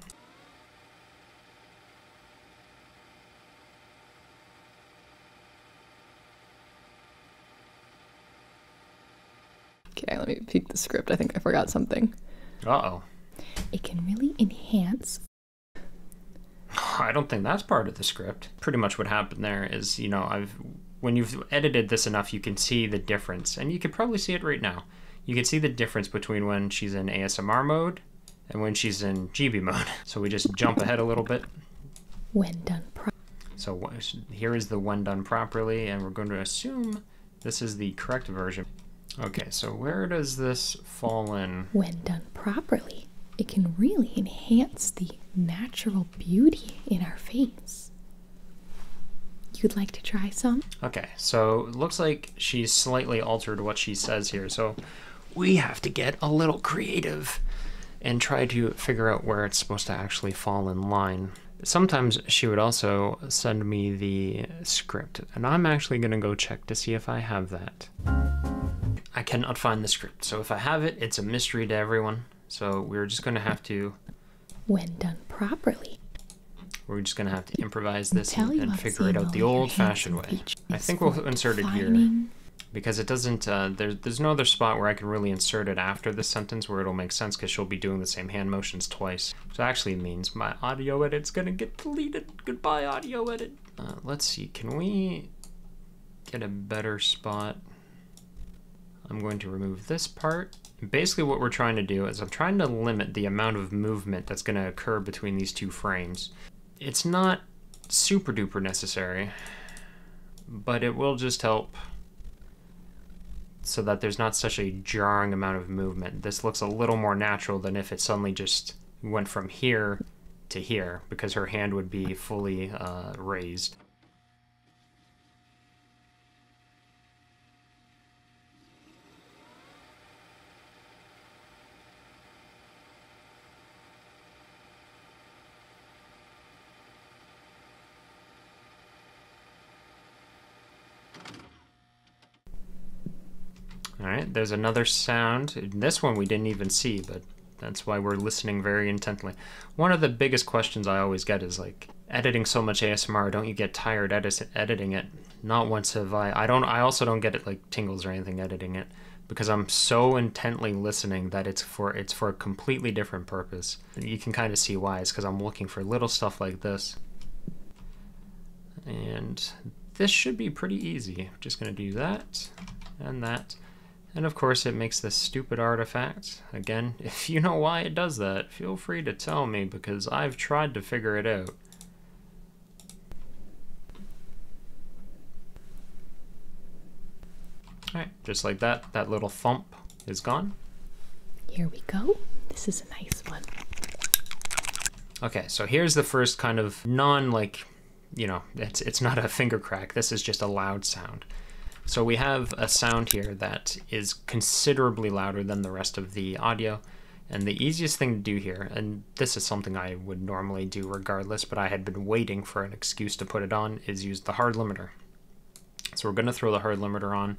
Okay, let me peek the script. I think I forgot something. Uh-oh. It can really enhance. I don't think that's part of the script. Pretty much what happened there is, you know, I've when you've edited this enough, you can see the difference, and you could probably see it right now. You can see the difference between when she's in ASMR mode and when she's in GB mode. So we just jump ahead a little bit. When done properly. So here is the when done properly, and we're going to assume this is the correct version. Okay, so where does this fall in? When done properly, it can really enhance the natural beauty in our face. You'd like to try some? Okay, so looks like she's slightly altered what she says here, so we have to get a little creative and try to figure out where it's supposed to actually fall in line. Sometimes she would also send me the script and I'm actually gonna go check to see if I have that. I cannot find the script, so if I have it, it's a mystery to everyone. So we're just gonna have to... When done properly. We're just gonna have to improvise this and, figure it out the old-fashioned way. I think we'll insert it here because it doesn't uh, there's no other spot where I can really insert it after this sentence where it'll make sense because she'll be doing the same hand motions twice. which actually means my audio edit's gonna get deleted. Goodbye, audio edit. Uh, let's see, can we get a better spot? I'm going to remove this part. Basically what we're trying to do is I'm trying to limit the amount of movement that's gonna occur between these two frames. It's not super duper necessary, but it will just help so that there's not such a jarring amount of movement. This looks a little more natural than if it suddenly just went from here to here, because her hand would be fully uh, raised. All right, there's another sound. This one we didn't even see, but that's why we're listening very intently. One of the biggest questions I always get is like, editing so much ASMR, don't you get tired editing it? Not once have I. I don't. I also don't get it like tingles or anything editing it because I'm so intently listening that it's for it's for a completely different purpose. You can kind of see why. It's because I'm looking for little stuff like this and this should be pretty easy. just gonna do that and that. And of course it makes this stupid artifact. Again, if you know why it does that, feel free to tell me because I've tried to figure it out. Alright, just like that, that little thump is gone. Here we go. This is a nice one. Okay, so here's the first kind of non like, you know, it's, it's not a finger crack. This is just a loud sound. So we have a sound here that is considerably louder than the rest of the audio. And the easiest thing to do here, and this is something I would normally do regardless, but I had been waiting for an excuse to put it on, is use the hard limiter. So we're gonna throw the hard limiter on.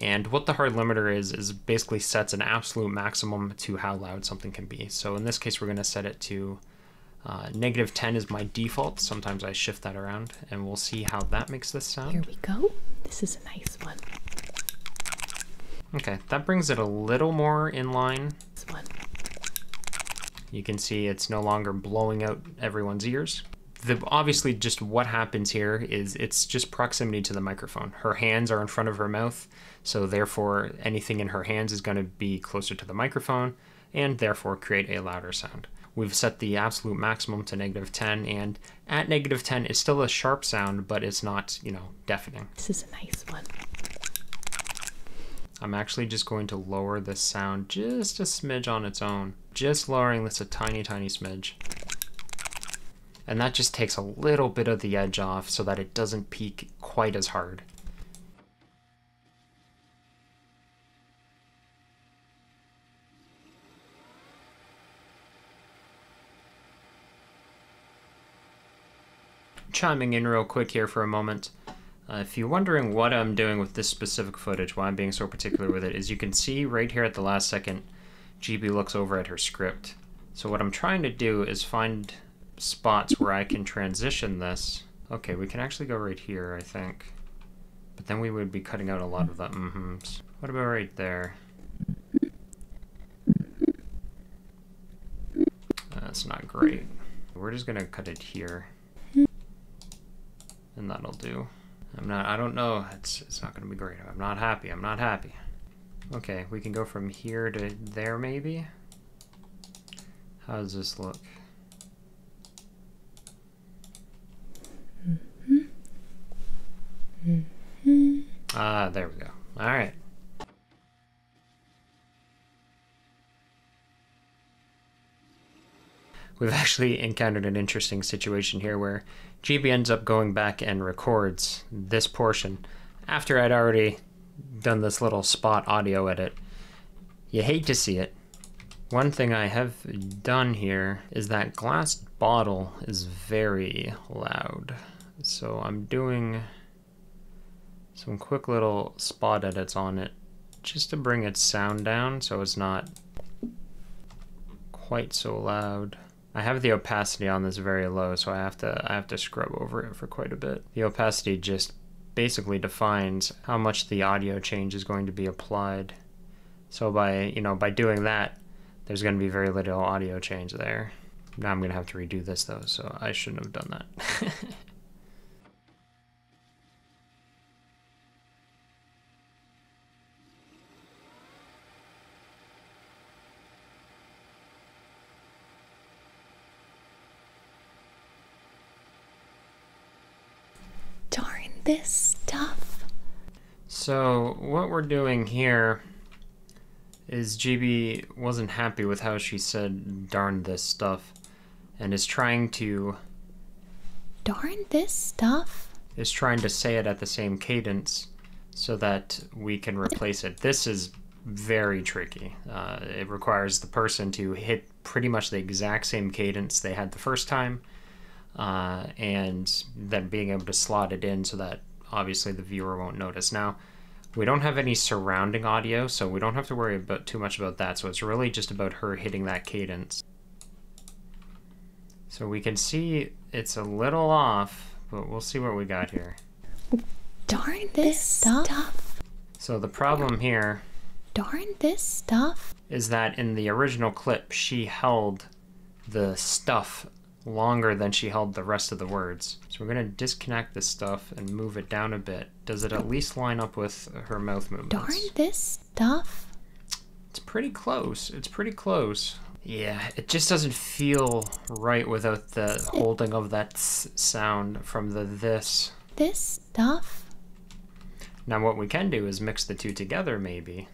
And what the hard limiter is, is basically sets an absolute maximum um, to how loud something can be. So in this case, we're going to set it to uh, 10 is my default. Sometimes I shift that around and we'll see how that makes this sound. Here we go. This is a nice one. Okay, that brings it a little more in line. This one. You can see it's no longer blowing out everyone's ears. The, obviously just what happens here is it's just proximity to the microphone. Her hands are in front of her mouth. So therefore, anything in her hands is going to be closer to the microphone and therefore create a louder sound. We've set the absolute maximum to negative 10 and at negative 10, it's still a sharp sound, but it's not, you know, deafening. This is a nice one. I'm actually just going to lower this sound just a smidge on its own. Just lowering this a tiny, tiny smidge. And that just takes a little bit of the edge off so that it doesn't peak quite as hard. Chiming in real quick here for a moment. Uh, if you're wondering what I'm doing with this specific footage, why I'm being so particular with it, as you can see right here at the last second, GB looks over at her script. So what I'm trying to do is find spots where I can transition this. Okay, we can actually go right here, I think. But then we would be cutting out a lot of the mm-hmms. What about right there? That's not great. We're just gonna cut it here. And that'll do. I'm not, I don't know, it's, it's not gonna be great. I'm not happy, I'm not happy. Okay, we can go from here to there maybe? How does this look? Mm-hmm. Ah, there we go. All right. We've actually encountered an interesting situation here where GB ends up going back and records this portion after I'd already done this little spot audio edit. You hate to see it. One thing I have done here is that glass bottle is very loud. So I'm doing some quick little spot edits on it just to bring its sound down so it's not quite so loud. I have the opacity on this very low, so I have to I have to scrub over it for quite a bit. The opacity just basically defines how much the audio change is going to be applied. So by you know by doing that, there's going to be very little audio change there. Now I'm going to have to redo this though, so I shouldn't have done that. Darn this stuff. So, what we're doing here is GB wasn't happy with how she said darn this stuff and is trying to darn this stuff is trying to say it at the same cadence so that we can replace it. This is very tricky. Uh, it requires the person to hit pretty much the exact same cadence they had the first time, uh, and then being able to slot it in so that obviously the viewer won't notice. Now, we don't have any surrounding audio, so we don't have to worry about too much about that. So it's really just about her hitting that cadence. So we can see it's a little off, but we'll see what we got here. Darn this, stuff. So the problem here. Darn this stuff. Is that in the original clip, she held the stuff longer than she held the rest of the words. So we're gonna disconnect this stuff and move it down a bit. Does it at least line up with her mouth movements? Darn this stuff. It's pretty close. It's pretty close. Yeah, it just doesn't feel right without the holding of that sound from the this. This stuff? Now what we can do is mix the two together maybe.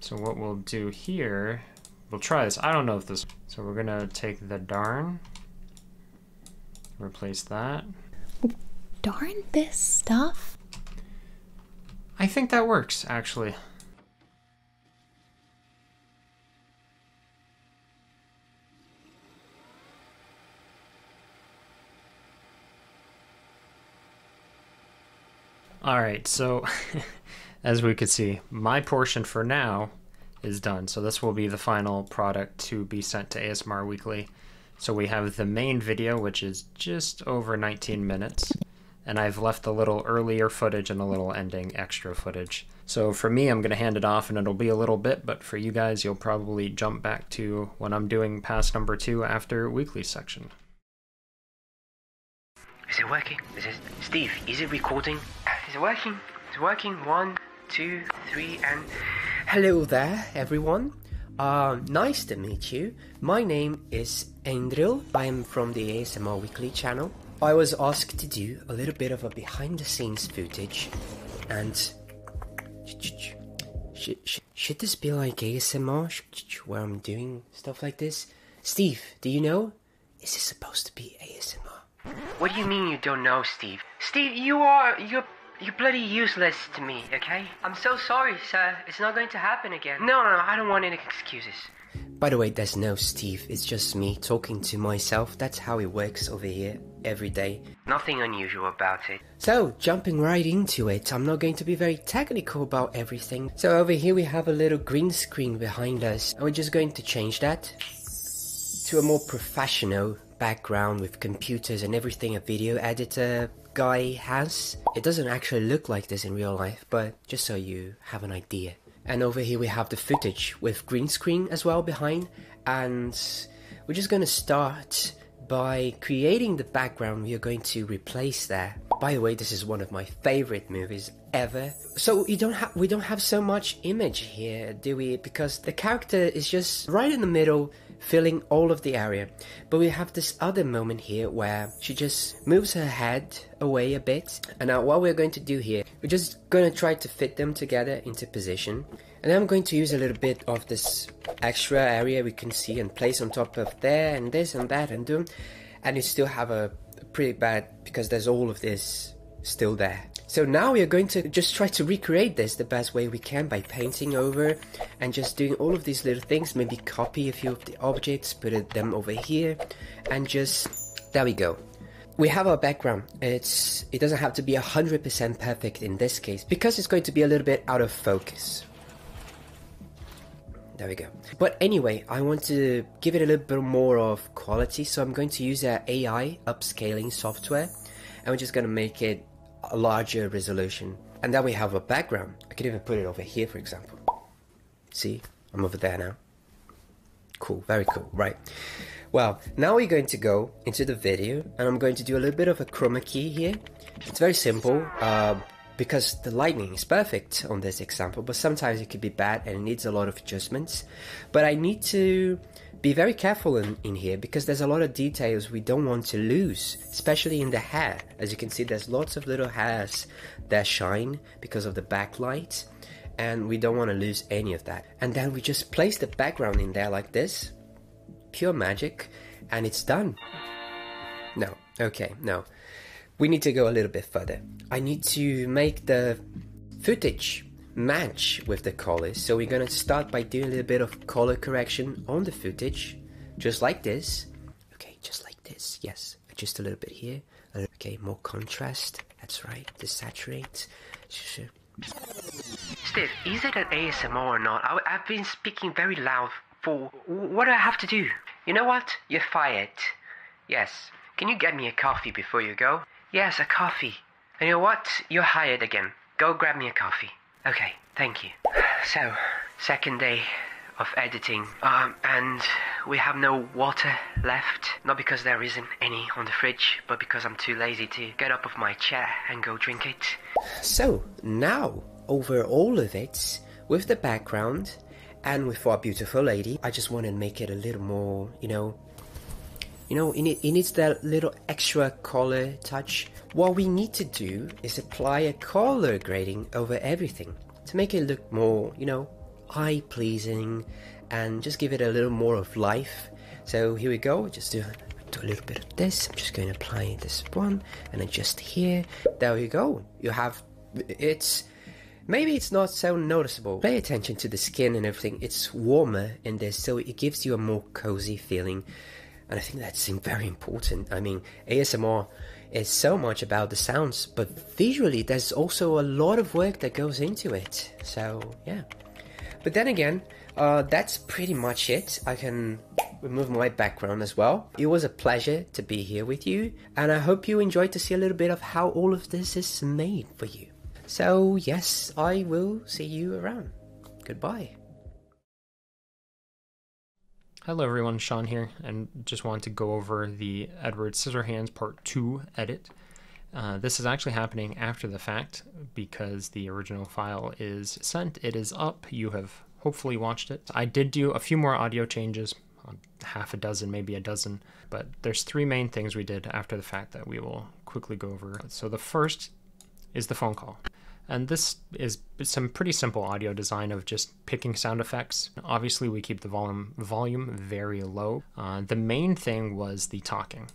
So what we'll do here, we'll try this. I don't know if this, so we're gonna take the darn, replace that. Darn this stuff? I think that works actually. All right, so as we can see, my portion for now is done. So this will be the final product to be sent to ASMR Weekly. So we have the main video, which is just over 19 minutes, and I've left a little earlier footage and a little ending extra footage. So for me, I'm going to hand it off and it'll be a little bit, but for you guys, you'll probably jump back to what I'm doing past number two after weekly section. Is it working? Is it... Steve, is it recording? Is uh, it working? It's working. One, two, three, and... Hello there, everyone. Uh, nice to meet you. My name is Andrew. I am from the ASMR Weekly channel. I was asked to do a little bit of a behind the scenes footage and. Should, this be like ASMR where I'm doing stuff like this? Steve, do you know? Is this supposed to be ASMR? What do you mean you don't know, Steve? Steve, you are. You're. You're bloody useless to me, okay? I'm so sorry, sir. It's not going to happen again. no, no I don't want any excuses. By the way, there's no Steve, it's just me talking to myself. That's how it works over here every day. Nothing unusual about it. So, jumping right into it, I'm not going to be very technical about everything. So over here we have a little green screen behind us, and we're just going to change that to a more professional background with computers and everything a video editor guy has. It doesn't actually look like this in real life, but just so you have an idea. And over here we have the footage with green screen as well behind. And we're just gonna start by creating the background we are going to replace there. By the way, this is one of my favorite movies ever. So you don't have we don't have so much image here, do we? Because the character is just right in the middle, filling all of the area. But we have this other moment here where she just moves her head away a bit. And now what we're going to do here, we just gonna try to fit them together into position. And I'm going to use a little bit of this extra area we can see and place on top of there and this and that and do. And you still have a pretty bad because there's all of this still there. So now we are going to just try to recreate this the best way we can by painting over and just doing all of these little things, maybe copy a few of the objects, put them over here and just, there we go we have our background. It's it doesn't have to be 100% perfect in this case because it's going to be a little bit out of focus. There we go. But anyway, I want to give it a little bit more of quality, so I'm going to use our AI upscaling software and we're just going to make it a larger resolution. And then we have our background. I could even put it over here, for example. See, I'm over there now. Cool, very cool, right. Well, now we're going to go into the video and I'm going to do a little bit of a chroma key here. It's very simple uh, because the lighting is perfect on this example, but sometimes it could be bad and it needs a lot of adjustments. But I need to be very careful in here because there's a lot of details we don't want to lose, especially in the hair. As you can see, there's lots of little hairs that shine because of the backlight and we don't want to lose any of that and then we just place the background in there like this. Pure magic, and it's done. No, okay, no. We need to go a little bit further. I need to make the footage match with the colors, so we're gonna start by doing a little bit of color correction on the footage, just like this. Okay, just like this, yes, just a little bit here, uh, okay, more contrast. That's right, to saturate. Steve, is it an ASMR or not? I, have been speaking very loud for. What do I have to do? You know what? You're fired. Yes. Can you get me a coffee before you go? Yes, a coffee. And you know what? You're hired again. Go grab me a coffee. Okay, thank you. So, second day of editing, um, and we have no water left. Not because there isn't any on the fridge, but because I'm too lazy to get up of my chair and go drink it. So, now, over all of it, with the background, and with our beautiful lady, I just want to make it a little more, you know, you know, it needs that little extra color touch. What we need to do is apply a color grading over everything to make it look more, you know, eye pleasing and just give it a little more of life. So here we go, just do, do a little bit of this. I'm just going to apply this one and then just here. There you go. You have it's maybe it's not so noticeable. Pay attention to the skin and everything. It's warmer in this, so it gives you a more cozy feeling. And I think that's very important. I mean, ASMR is so much about the sounds, but visually, there's also a lot of work that goes into it. So yeah. But then again, uh, that's pretty much it. I can remove my background as well. It was a pleasure to be here with you, and I hope you enjoyed to see a little bit of how all of this is made for you. So, yes, I will see you around. Goodbye. Hello, everyone. Sean here, and just want to go over the Edward Scissorhands Part 2 edit uh, this is actually happening after the fact because the original file is sent. It is up. You have hopefully watched it. I did do a few more audio changes, uh, half a dozen, maybe a dozen, but there's three main things we did after the fact that we will quickly go over. So the first is the phone call. And this is some pretty simple audio design of just picking sound effects. Obviously, we keep the volume volume very low. Uh, the main thing was the talking.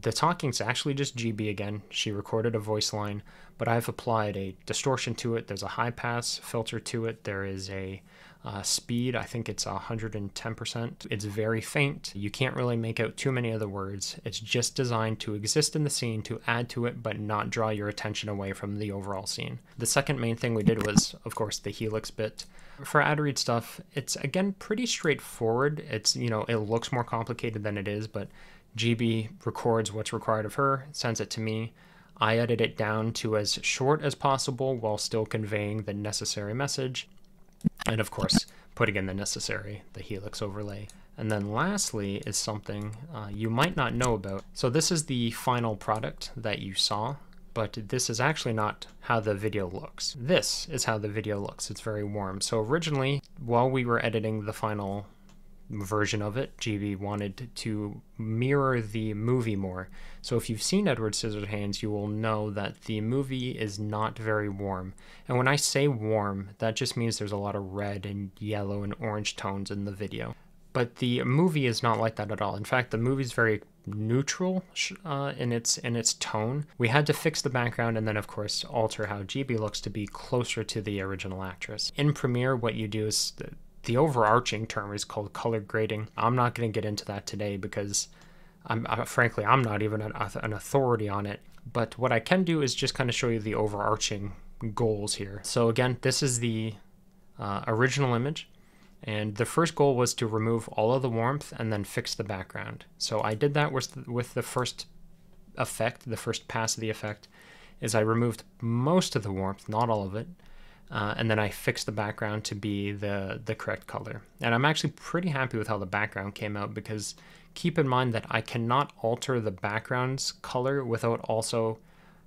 The talking's actually just GB again. She recorded a voice line, but I've applied a distortion to it. There's a high pass filter to it. There is a uh, speed, I think it's 110%. It's very faint. You can't really make out too many of the words. It's just designed to exist in the scene, to add to it, but not draw your attention away from the overall scene. The second main thing we did was, of course, the helix bit. For ad read stuff, it's again pretty straightforward. It's, you know, it looks more complicated than it is, but GB records what's required of her, sends it to me. I edit it down to as short as possible while still conveying the necessary message. And of course, putting in the necessary, the helix overlay. And then lastly is something uh, you might not know about. So this is the final product that you saw, but this is actually not how the video looks. This is how the video looks. It's very warm. So originally, while we were editing the final version of it, GB wanted to mirror the movie more. So if you've seen Edward Scissorhands, you will know that the movie is not very warm. And when I say warm, that just means there's a lot of red and yellow and orange tones in the video. But the movie is not like that at all. In fact, the movie's very neutral uh, in its in its tone. We had to fix the background and then of course alter how GB looks to be closer to the original actress. In Premiere, what you do is the, overarching term is called color grading. I'm not going to get into that today because I'm frankly I'm not even an, authority on it. But what I can do is just kind of show you the overarching goals here. So again, this is the uh, original image. And the first goal was to remove all of the warmth and then fix the background. So I did that with, with the first effect, the first pass of the effect, is I removed most of the warmth, not all of it, uh, and then I fixed the background to be the, the correct color. And I'm actually pretty happy with how the background came out because keep in mind that I cannot alter the background's color without also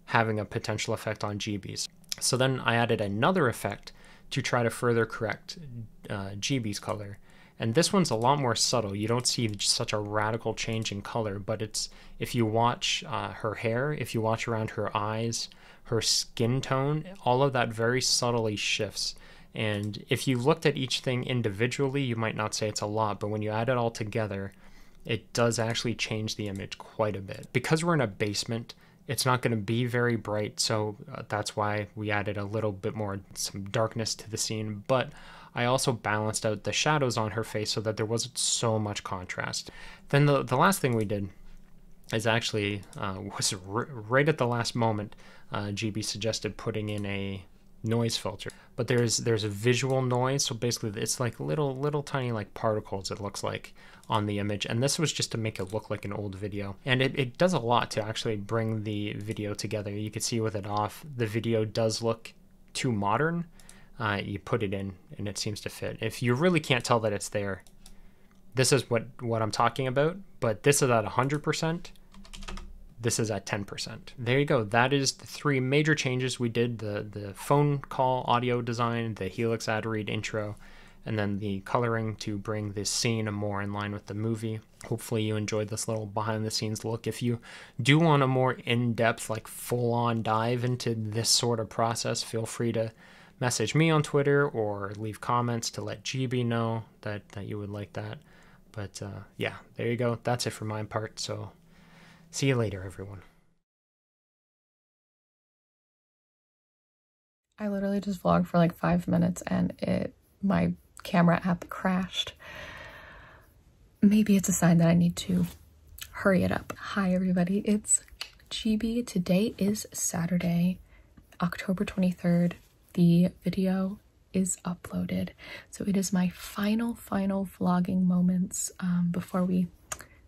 having a potential effect on GBs. So then I added another effect to try to further correct correct uh, color. And this one's a lot more subtle. You don't see such a radical change in color, but it's if you watch uh, her hair, if you watch around her eyes, her skin tone, all of that very subtly shifts. And if you looked at each thing individually, you might not say it's a lot, but when you add it all together, it does actually change the image quite a bit. Because we're in a basement, it's not going to be very bright, so uh, that's why we added a little bit more some darkness to the scene, but I also balanced out the shadows on her face so that there wasn't so much contrast. Then the, the last thing we did is actually uh, was right at the last moment, uh, GB suggested putting in a noise filter. But there's there's a visual noise, so basically it's like little little tiny like particles it looks like on the image. And this was just to make it look like an old video. And it, does a lot to actually bring the video together. You can see with it off, the video does look too modern. Uh, you put it in and it seems to fit. If you really can't tell that it's there, this is what, what I'm talking about, but this is at 100%. This is at 10%. There you go. That is the three major changes we did, the, the phone call audio design, the Helix ad read intro, and then the coloring to bring this scene more in line with the movie hopefully you enjoyed this little behind the scenes look. If you do want a more in-depth, like full-on dive into this sort of process, feel free to message me on Twitter or leave comments to let GB know that, that you would like that. But uh, yeah, there you go. That's it for my part. So see you later, everyone. I literally just vlogged for like five minutes and it my camera app crashed. Maybe it's a sign that I need to hurry it up. Hi everybody, it's GB. Today is Saturday, October 23rd. The video is uploaded. So it is my final, final vlogging moments um, before we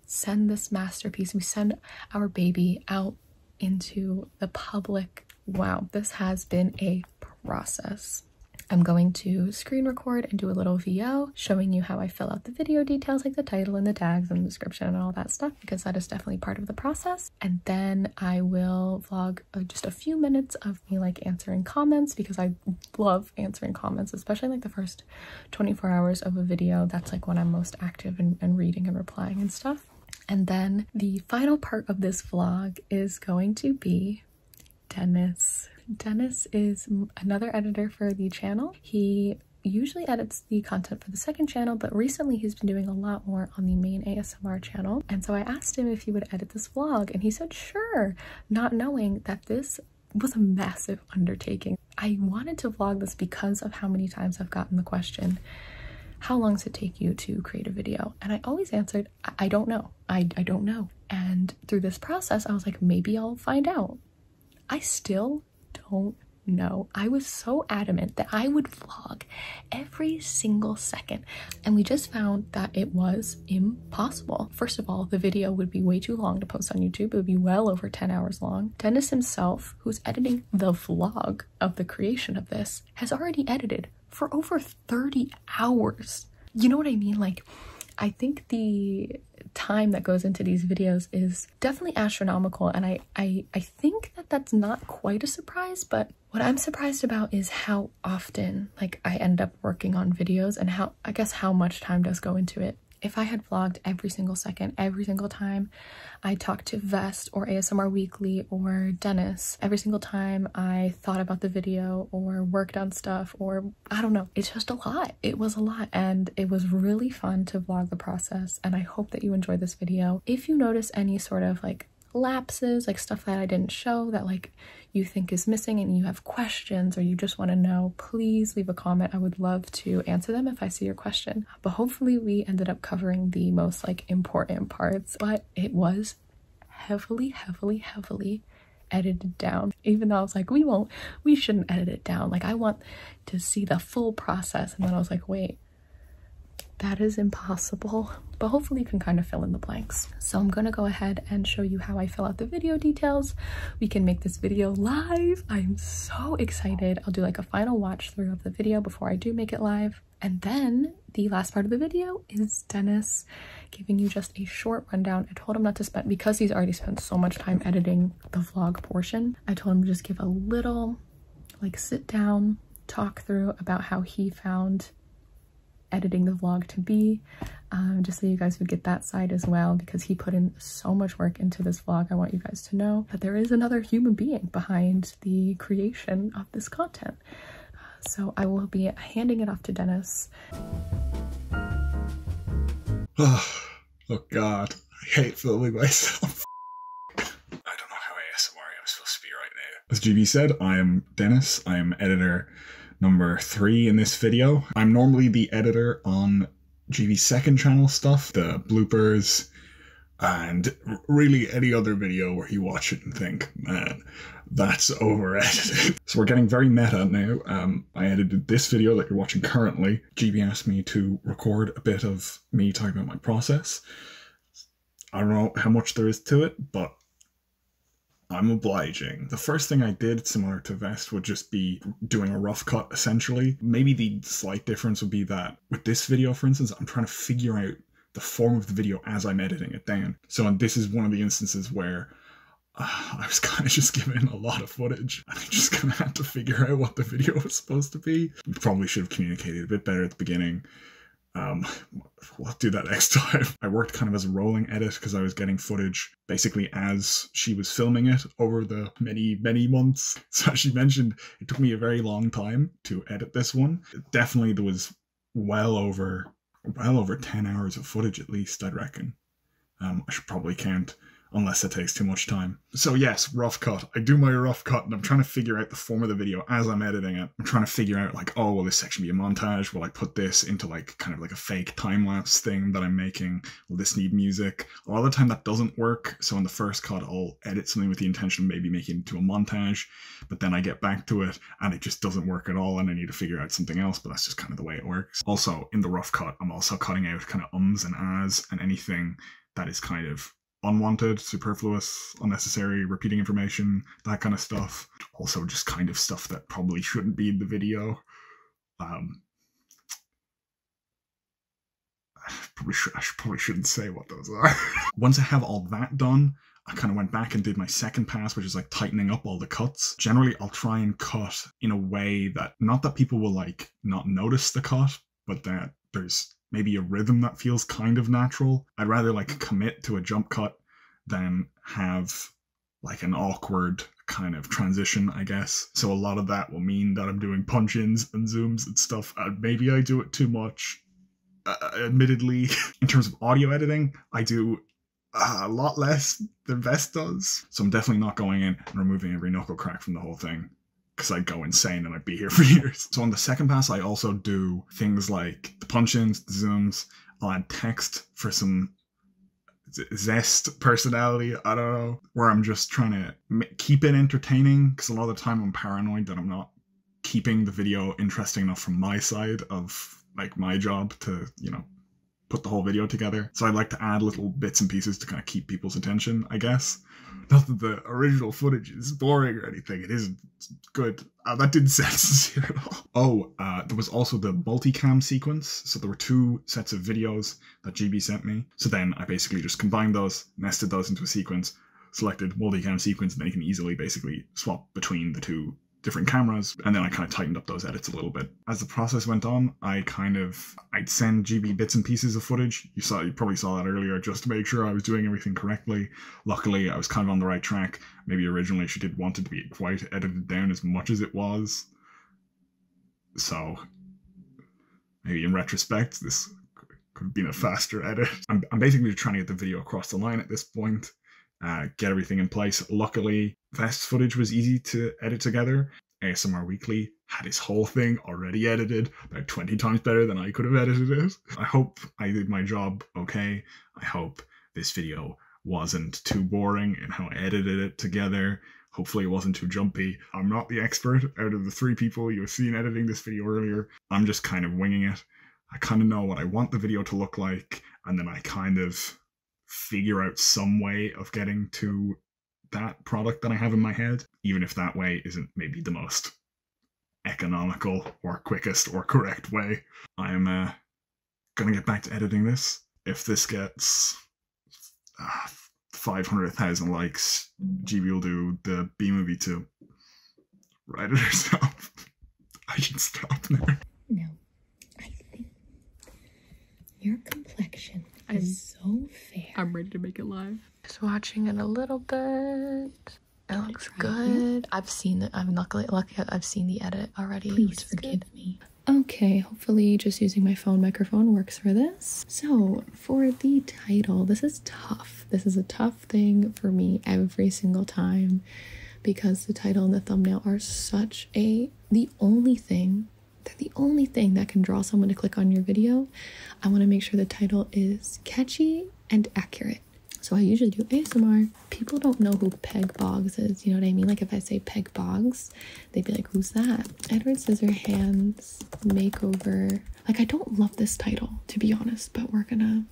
send this masterpiece. We send our baby out into the public. Wow, this has been a process. I'm going to screen record and do a little Vlog showing you how I fill out the video details like the title and the tags and the description and all that stuff because that is definitely part of the process. And then I will vlog uh, just a few minutes of me like answering comments because I love answering comments, especially like the first 24 hours of a video. That's like when I'm most active and, and reading and replying and stuff. And then the final part of this vlog is going to be Dennis. Dennis is another editor for the channel. He usually edits the content for the second channel, but recently he's been doing a lot more on the main ASMR channel. And so I asked him if he would edit this vlog and he said, sure, not knowing that this was a massive undertaking. I wanted to vlog this because of how many times I've gotten the question, how long does it take you to create a video? And I always answered, I, don't know. I, don't know. And through this process, I was like, maybe I'll find out. I still don't know. I was so adamant that I would vlog every single second. And we just found that it was impossible. First of all, the video would be way too long to post on YouTube. It would be well over 10 hours long. Dennis himself, who's editing the vlog of the creation of this, has already edited for over 30 hours. You know what I mean? Like, I think the time that goes into these videos is definitely astronomical and I, I I think that that's not quite a surprise but what I'm surprised about is how often like I end up working on videos and how I guess how much time does go into it if I had vlogged every single second every single time I talked to Vest or ASMR Weekly or Dennis every single time I thought about the video or worked on stuff or I don't know. It's just a lot. It was a lot and it was really fun to vlog the process and I hope that you enjoyed this video. If you notice any sort of like lapses, like stuff that I didn't show that like you think is missing and you have questions or you just want to know, please leave a comment. I would love to answer them if I see your question. But hopefully we ended up covering the most like important parts. But it was heavily, heavily, heavily edited down. Even though I was like, we won't, we shouldn't edit it down. Like, I want to see the full process. And then I was like, wait, that is impossible. But hopefully you can kind of fill in the blanks. So I'm gonna go ahead and show you how I fill out the video details. We can make this video live. I'm so excited. I'll do like a final watch through of the video before I do make it live. And then the last part of the video is Dennis giving you just a short rundown. I told him not to spend, because he's already spent so much time editing the vlog portion, I told him to just give a little like sit down, talk through about how he found editing the vlog to be, um, just so you guys would get that side as well, because he put in so much work into this vlog. I want you guys to know that there is another human being behind the creation of this content so I will be handing it off to Dennis. oh God, I hate filming myself. I don't know how supposed to be right now. As GB said, I am Dennis. I am editor number three in this video. I'm normally the editor on GB's second channel stuff, the bloopers, and really any other video where you watch it and think, man, that's over edited. so we're getting very meta now. Um, I edited this video that you're watching currently. GB asked me to record a bit of me talking about my process. I don't know how much there is to it, but I'm obliging. The first thing I did, similar to Vest, would just be doing a rough cut essentially. Maybe the slight difference would be that with this video, for instance, I'm trying to figure out the form of the video as I'm editing it down. So, this is one of the instances where uh, I was kind of just given a lot of footage and I just kind of had to figure out what the video was supposed to be. We probably should have communicated a bit better at the beginning. Um, we'll do that next time. I worked kind of as a rolling edit because I was getting footage basically as she was filming it over the many, many months. So she mentioned, it took me a very long time to edit this one. Definitely there was well over well over 10 hours of footage at least i'd reckon um, i should probably count unless it takes too much time so yes rough cut i do my rough cut and i'm trying to figure out the form of the video as i'm editing it i'm trying to figure out like oh will this section be a montage will i put this into like kind of like a fake time lapse thing that i'm making will this need music a lot of the time that doesn't work so in the first cut i'll edit something with the intention of maybe making it to a montage but then I get back to it and it just doesn't work at all and I need to figure out something else, but that's just kind of the way it works. Also, in the rough cut, I'm also cutting out kind of ums and as, and anything that is kind of unwanted, superfluous, unnecessary, repeating information, that kind of stuff. Also, just kind of stuff that probably shouldn't be in the video. Um, I probably, should, I probably shouldn't say what those are. Once I have all that done, I kind of went back and did my second pass, which is like tightening up all the cuts. Generally, I'll try and cut in a way that not that people will like not notice the cut, but that there's maybe a rhythm that feels kind of natural. I'd rather like commit to a jump cut than have like an awkward kind of transition, I guess. So a lot of that will mean that I'm doing punch ins and zooms and stuff, and uh, maybe I do it too much. Uh, admittedly, in terms of audio editing, I do a lot less than Vest does. So I'm definitely not going in and removing every knuckle crack from the whole thing because I'd go insane and I'd be here for years. So on the second pass, I also do things like the punch ins, the zooms, I'll add text for some zest personality i don't know where i'm just trying to keep it entertaining because a lot of the time i'm paranoid that i'm not keeping the video interesting enough from my side of like my job to, you know, put the whole video together. So I'd like to add little bits and pieces to kind of keep people's attention, I guess. Not that the original footage is boring or anything, it isn't good. Uh, that didn't sound Oh, uh, there was also the multicam sequence. So there were two sets of videos that GB sent me. So then I basically just combined those, nested those into a sequence, selected multicam sequence, and then you can easily basically swap between the two different cameras and then i kind of tightened up those edits a little bit as the process went on i kind of i'd send gb bits and pieces of footage you saw you probably saw that earlier just to make sure i was doing everything correctly luckily i was kind of on the right track maybe originally she did want it to be quite edited down as much as it was so maybe in retrospect this could have been a faster edit i'm, I'm basically trying to get the video across the line at this point, uh, get everything in place. Luckily, Vest's footage was easy to edit together. ASMR Weekly had his whole thing already edited, about 20 times better than I could have edited it. I hope I did my job okay. I hope this video wasn't too boring and how I edited it together. Hopefully it wasn't too jumpy. I'm not the expert out of the three people you've seen editing this video earlier. I'm just kind of winging it. I kind of know what I want the video to look like, and then I kind of figure out some way of getting to that product that I have in my head, even if that way isn't maybe the most economical or quickest or correct way. I'm uh, gonna get back to editing this. If this gets uh, ah, 500,000 likes, GB will do the B movie too to write it herself. I can stop there. No, I think your complexion I'm, is so fair. I'm ready to make it live. Just watching it a little bit. It looks good. I've seen it. I'm luckily lucky I've seen the edit already. Please forgive me. Okay, hopefully just using my phone microphone works for this. So for the title, this is tough. This is a tough thing for me every single time because the title and the thumbnail are such a the only thing they're the only thing that can draw someone to click on your video. I want to make sure the title is catchy and accurate. So I usually do ASMR. People don't know who Peg Boggs is, you know what I mean? Like if I say Peg Boggs, they'd be like, who's that? Edward Scissorhands Makeover. Like I don't love this title, to be honest, but we're gonna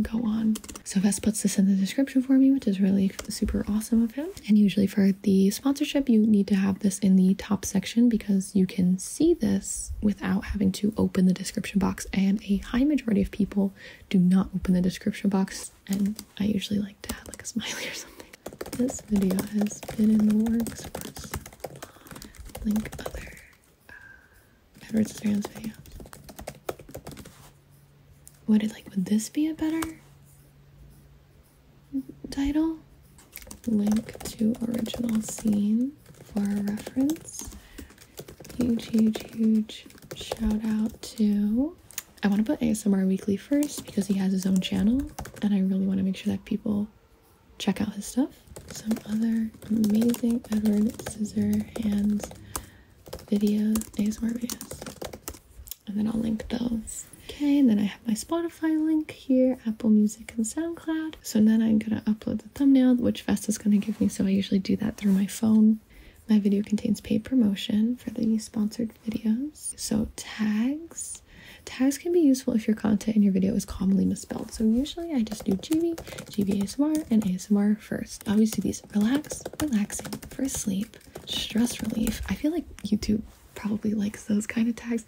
go on. So Ves puts this in the description for me, which is really super awesome of him. And usually for the sponsorship, you need to have this in the top section because you can see this without having to open the description box. And a high majority of people do not open the description box. And I usually like to add like a smiley or something. This video has been in the works for a Link other uh, Edward Scissorhands video. Would it like, would this be a better title? Link to original scene for reference. Huge, huge, huge shout out to. I want to put ASMR Weekly first because he has his own channel and I really want to make sure that people check out his stuff. Some other amazing Edward Scissorhands videos, ASMR videos. And then I'll link those. Okay, and then I have my Spotify link here, Apple Music and SoundCloud. So then I'm gonna upload the thumbnail, which Vest is gonna give me. So I usually do that through my phone. My video contains paid promotion for the sponsored videos. So tags. Tags can be useful if your content and your video is commonly misspelled. So usually I just do GB, GBASMR, and ASMR first. I always do these relax, relaxing for sleep, stress relief. I feel like YouTube probably likes those kind of tags.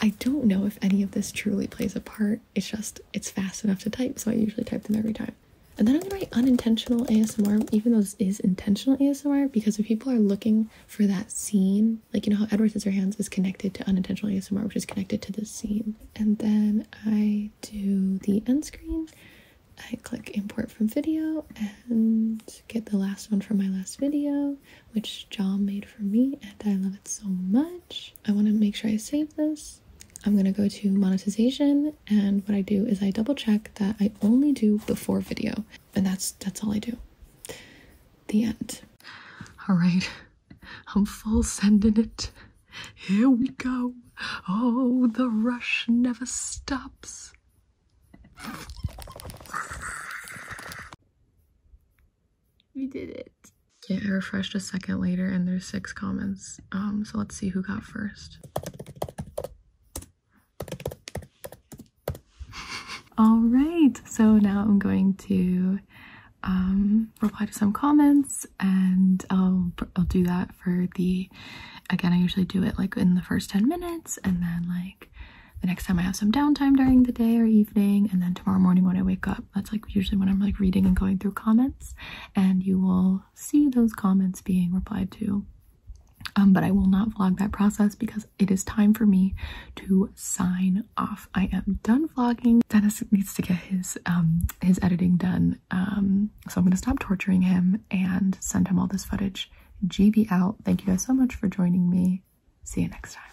I don't know if any of this truly plays a part. It's just, it's fast enough to type, so I usually type them every time. And then I'm gonna write unintentional ASMR, even though this is intentional ASMR, because if people are looking for that scene, like you know how Edward hands is connected to unintentional ASMR, which is connected to this scene and then I do the end screen. I click import from video and get the last one from my last video, which John made for me, and I love it so much. I want to make sure I save this. I'm gonna go to monetization, and what I do is I double check that I only do before video, and that's that's all I do. The end. All right, I'm full sending it. Here we go. Oh, the rush never stops. We did it. Yeah, I refreshed a second later and there's six comments. Um, so let's see who got first. All right, so now I'm going to um, reply to some comments and I'll, I'll do that for the, again, I usually do it like in the first 10 minutes and then like the next time I have some downtime during the day or evening and then tomorrow morning when I wake up, that's like usually when I'm like reading and going through comments and you will see those comments being replied to. Um, but I will not vlog that process because it is time for me to sign off. I am done vlogging. Dennis needs to get his um, his editing done um, so I'm going to stop torturing him and send him all this footage. GB out. Thank you guys so much for joining me. See you next time.